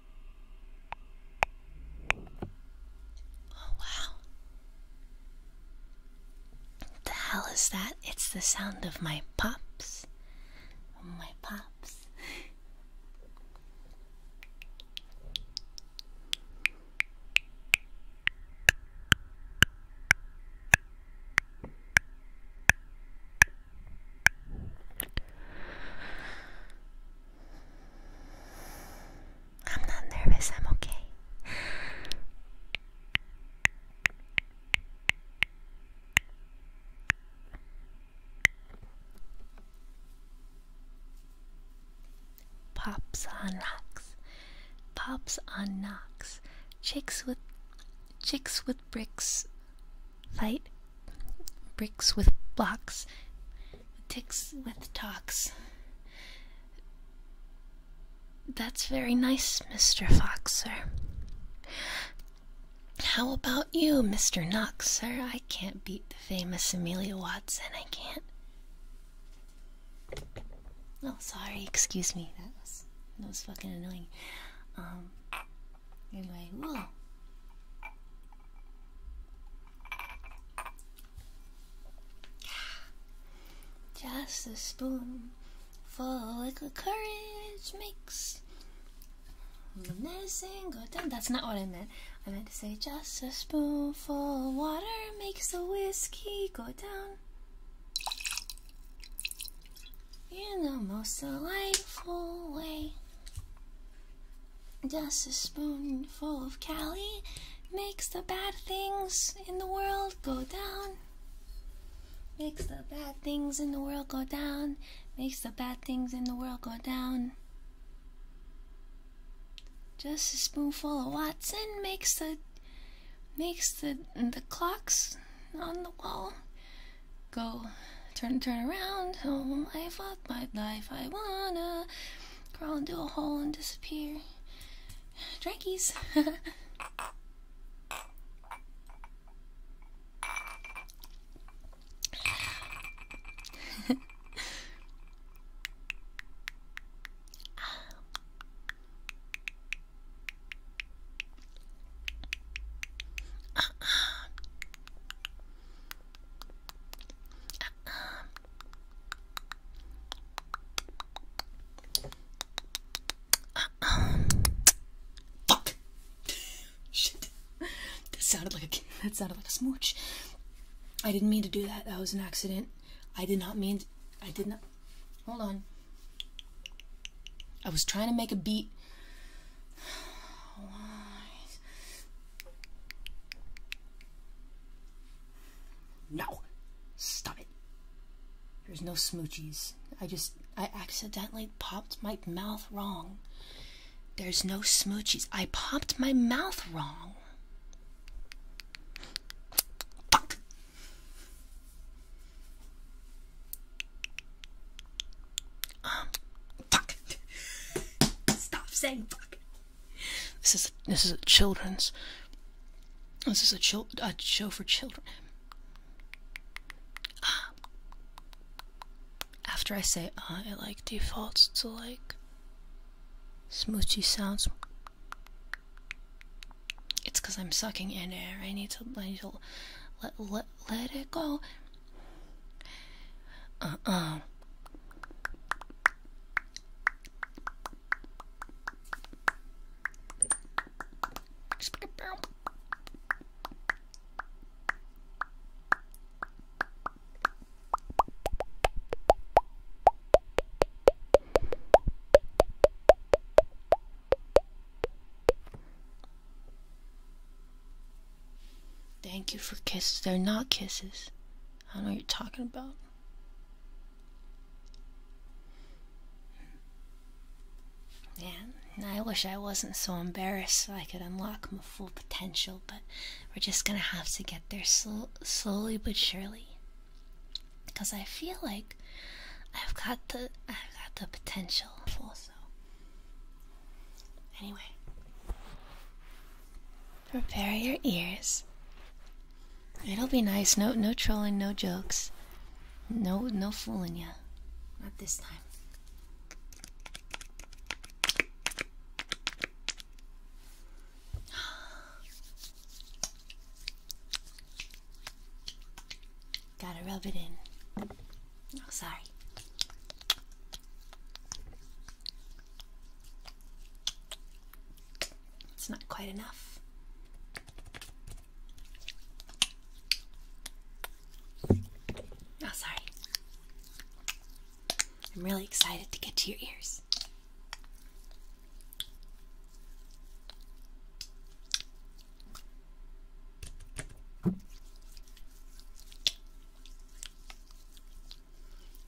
Oh, wow. What the hell is that? It's the sound of my pops. My pops. I'm not nervous, I'm okay. Pops on rocks, pops on knocks, chicks with chicks with bricks Fight bricks with blocks, ticks with tocks. That's very nice, Mr. Fox, sir. How about you, Mr. Knox, sir? I can't beat the famous Amelia Watson, I can't. Oh, sorry, excuse me. That was that was fucking annoying. Um you're like, Just a spoonful of liquid courage makes the medicine go down. That's not what I meant. I meant to say just a spoonful of water makes the whiskey go down. In the most delightful way. Just a spoonful of Cali makes the bad things in the world go down. Makes the bad things in the world go down. Makes the bad things in the world go down. Just a spoonful of Watson makes the makes the the clocks on the wall go turn turn around oh life fought my life i wanna crawl into a hole and disappear drankies Uh Fuck! Shit. That sounded like a, that sounded like a smooch. I didn't mean to do that. That was an accident. I did not mean. I did not. Hold on. I was trying to make a beat. Why? No! Stop it. There's no smoochies. I just, I accidentally popped my mouth wrong. There's no smoochies. I popped my mouth wrong. Um, fuck. Stop saying fuck. This is this is a children's. This is a, chil a show for children. Uh, after I say uh, it like defaults to like smoochy sounds. It's because I'm sucking in air. I need to, I need to let, let, let it go. Uh uh. Thank you for kisses. They're not kisses. I don't know what you're talking about. Yeah, I wish I wasn't so embarrassed so I could unlock my full potential, but we're just gonna have to get there sl slowly but surely. Because I feel like I've got the I've got the potential also. Anyway, prepare your ears. It'll be nice. No, no trolling, no jokes, no, no fooling you. Not this time. Gotta rub it in. Oh, sorry. It's not quite enough. Oh, sorry. I'm really excited to get to your ears.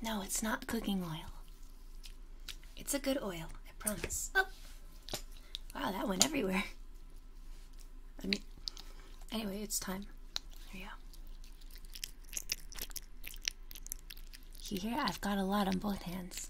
No, it's not cooking oil. It's a good oil, I promise. Oh! Wow, that went everywhere. I mean, anyway, it's time. Here you go. You hear? I've got a lot on both hands.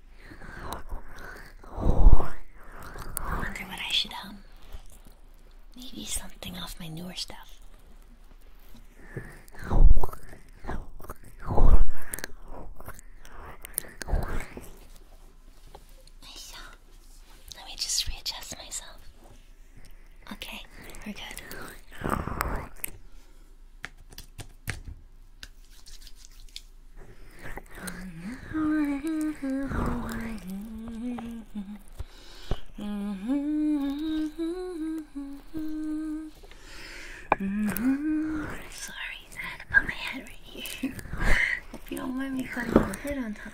I wonder what I should hum. Maybe something off my newer stuff. let me just readjust myself. Okay, we're good. Sorry, I had to put my head right here. Hope you don't mind me putting my head on top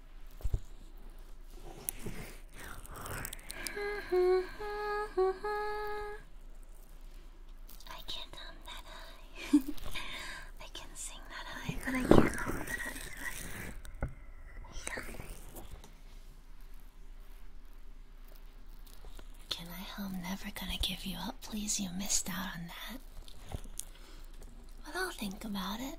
I can't hum that high. I can sing that high, but I can't hum that high. Can I hum Never Gonna Give You Up? Please, you missed out on that. But I'll think about it.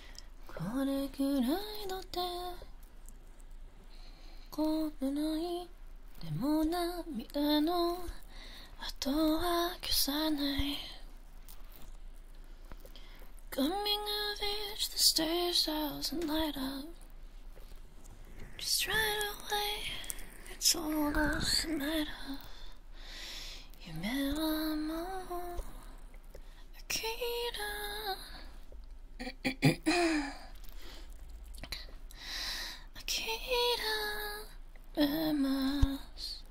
これぐらいの手こぶないでも涙の後は消さない Coming of age, the stage doesn't light up Just right away, it's all doesn't matter 夢はもう Akita. Akita Bemas.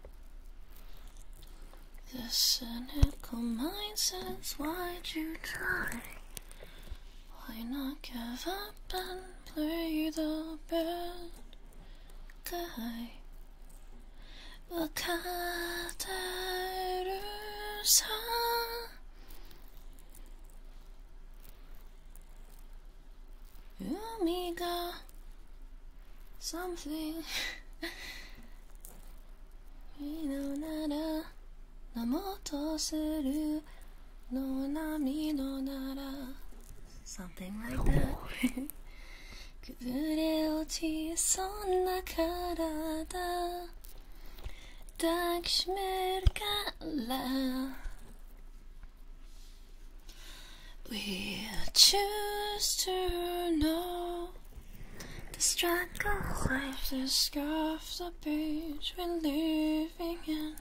The cynical mindset. Why'd you try? Why not give up and play the bad guy? わかってるさ海が something いいのならなもとするの波のなら something like that Could of 崩れ落ちそんな体抱きしめるから We choose to know The struggle waves the scarf the beach we're living in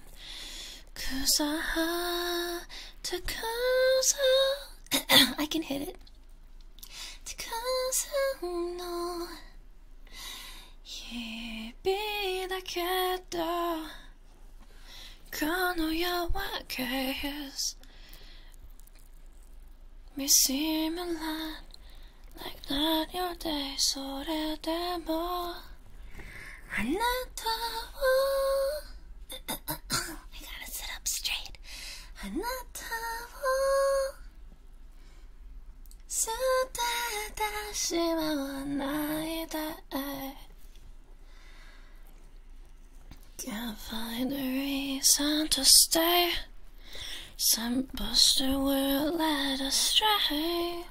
Cause I had to cause I can hit it たくさんの日々だけどこの夜は消す見せむら e n t o u r day それでもあな I gotta sit up straight. Can't find a reason to stay. Some buster will let us stray.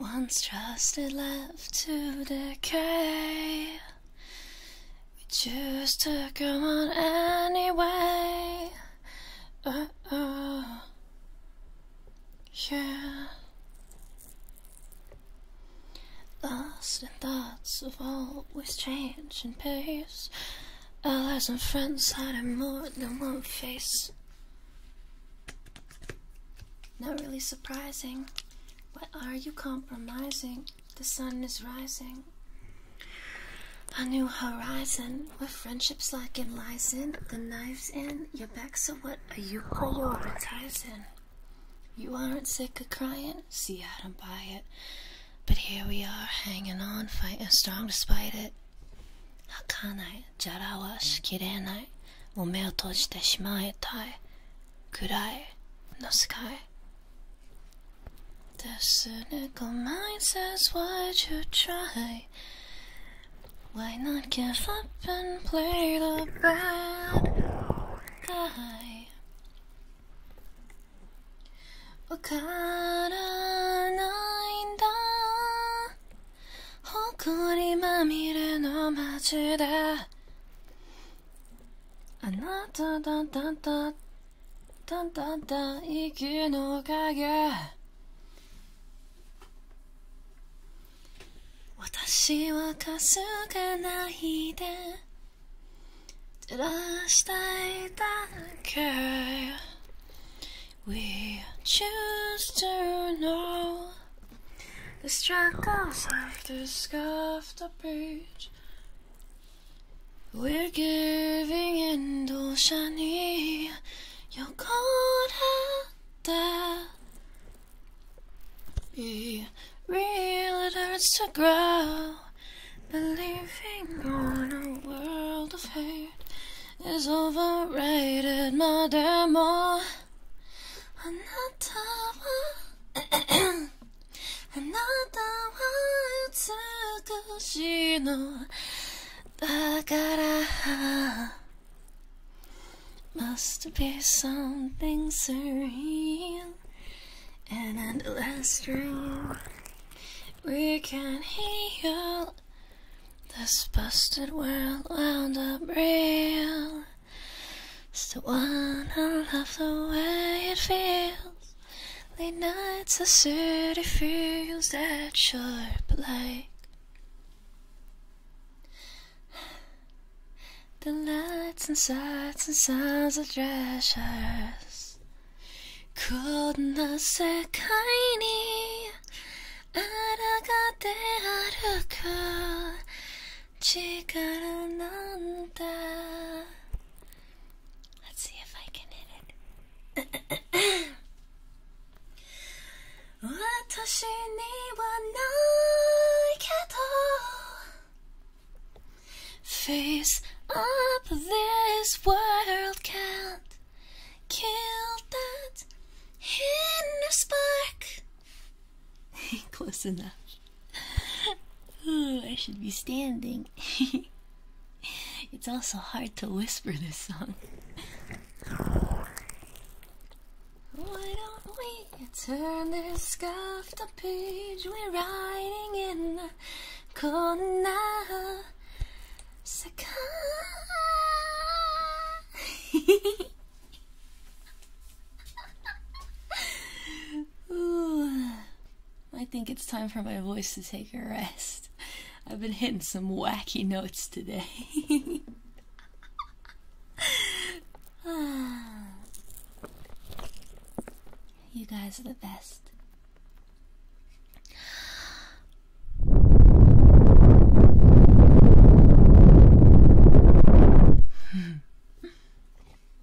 Once trusted, left to decay. We choose to come on anyway. Uh oh, yeah. Lost in thoughts of always changing pace. Allies and friends hiding more than one face. Not really surprising. Why are you compromising? The sun is rising. A new horizon What friendships like it lies in. The knife's end. your back, so what are you prioritizing? You aren't sick of crying? See, I don't buy it. But here we are, hanging on, fighting strong despite it. How can I? Ome 儚い、じゃらはしきれない。もう目を閉じてしまいたい。暗い、の世界。the cynical mind says, Why'd you try? Why not give up and play the bad guy? わからないんだ埃まみれの街であなただだだだんだんだん息の影私はかすかないで照らしたいだけ We choose to know the struggles of this we're giving in to shiny, 도시니 요건했다 Be real, it hurts to grow Believing on a world of hate Is overrated, my dear more あなたは美しいのだから Must be something surreal and endless dream We can heal this busted world wound up real Still wanna love the way it feels Late nights, I see the feelings that sharp like the lights and sights and sounds of treasures. could not say kindly. 抗って歩く力なんだ Let's see if I can hit it. 私にはないけど Face up this world can't kill that inner spark Close enough I should be standing. it's also hard to whisper this song. Why don't we turn this off page? We're riding in the corner. Saka. I think it's time for my voice to take a rest. I've been hitting some wacky notes today. you guys are the best.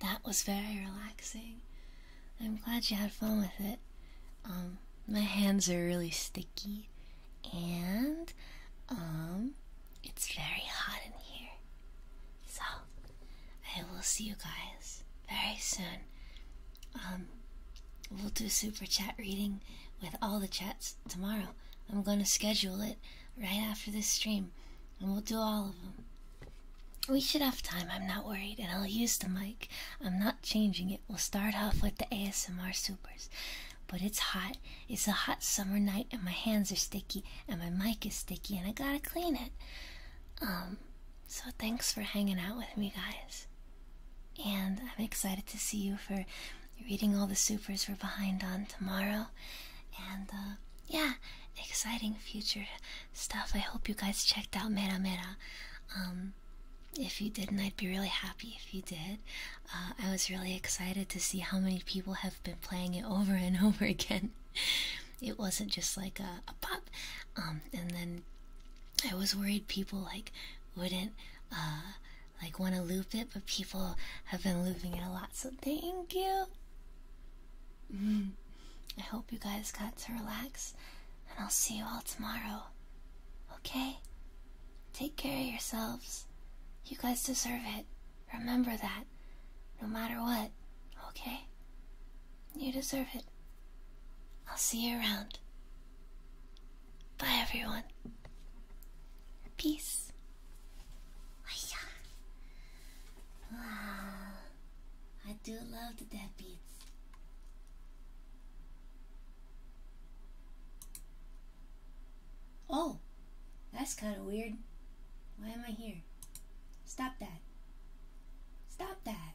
That was very relaxing. I'm glad you had fun with it. Um, my hands are really sticky and um it's very hot in here. So I will see you guys very soon. Um we'll do super chat reading with all the chats tomorrow. I'm going to schedule it right after this stream and we'll do all of them. We should have time. I'm not worried and I'll use the mic. I'm not changing it. We'll start off with the ASMR supers. But it's hot. It's a hot summer night and my hands are sticky and my mic is sticky and I gotta clean it. Um so thanks for hanging out with me guys. And I'm excited to see you for reading all the supers we're behind on tomorrow. And uh yeah, exciting future stuff. I hope you guys checked out Mera Mera. Um if you didn't, I'd be really happy if you did. Uh, I was really excited to see how many people have been playing it over and over again. It wasn't just like a, pop. Um, and then I was worried people like wouldn't uh, like want to loop it, but people have been looping it a lot. So thank you. Mm. I hope you guys got to relax, and I'll see you all tomorrow. Okay? Take care of yourselves. You guys deserve it. Remember that. No matter what, okay? You deserve it. I'll see you around. Bye, everyone. Peace. Wow. I do love the dead beats. Oh, that's kind of weird. Why am I here? Stop that. Stop that.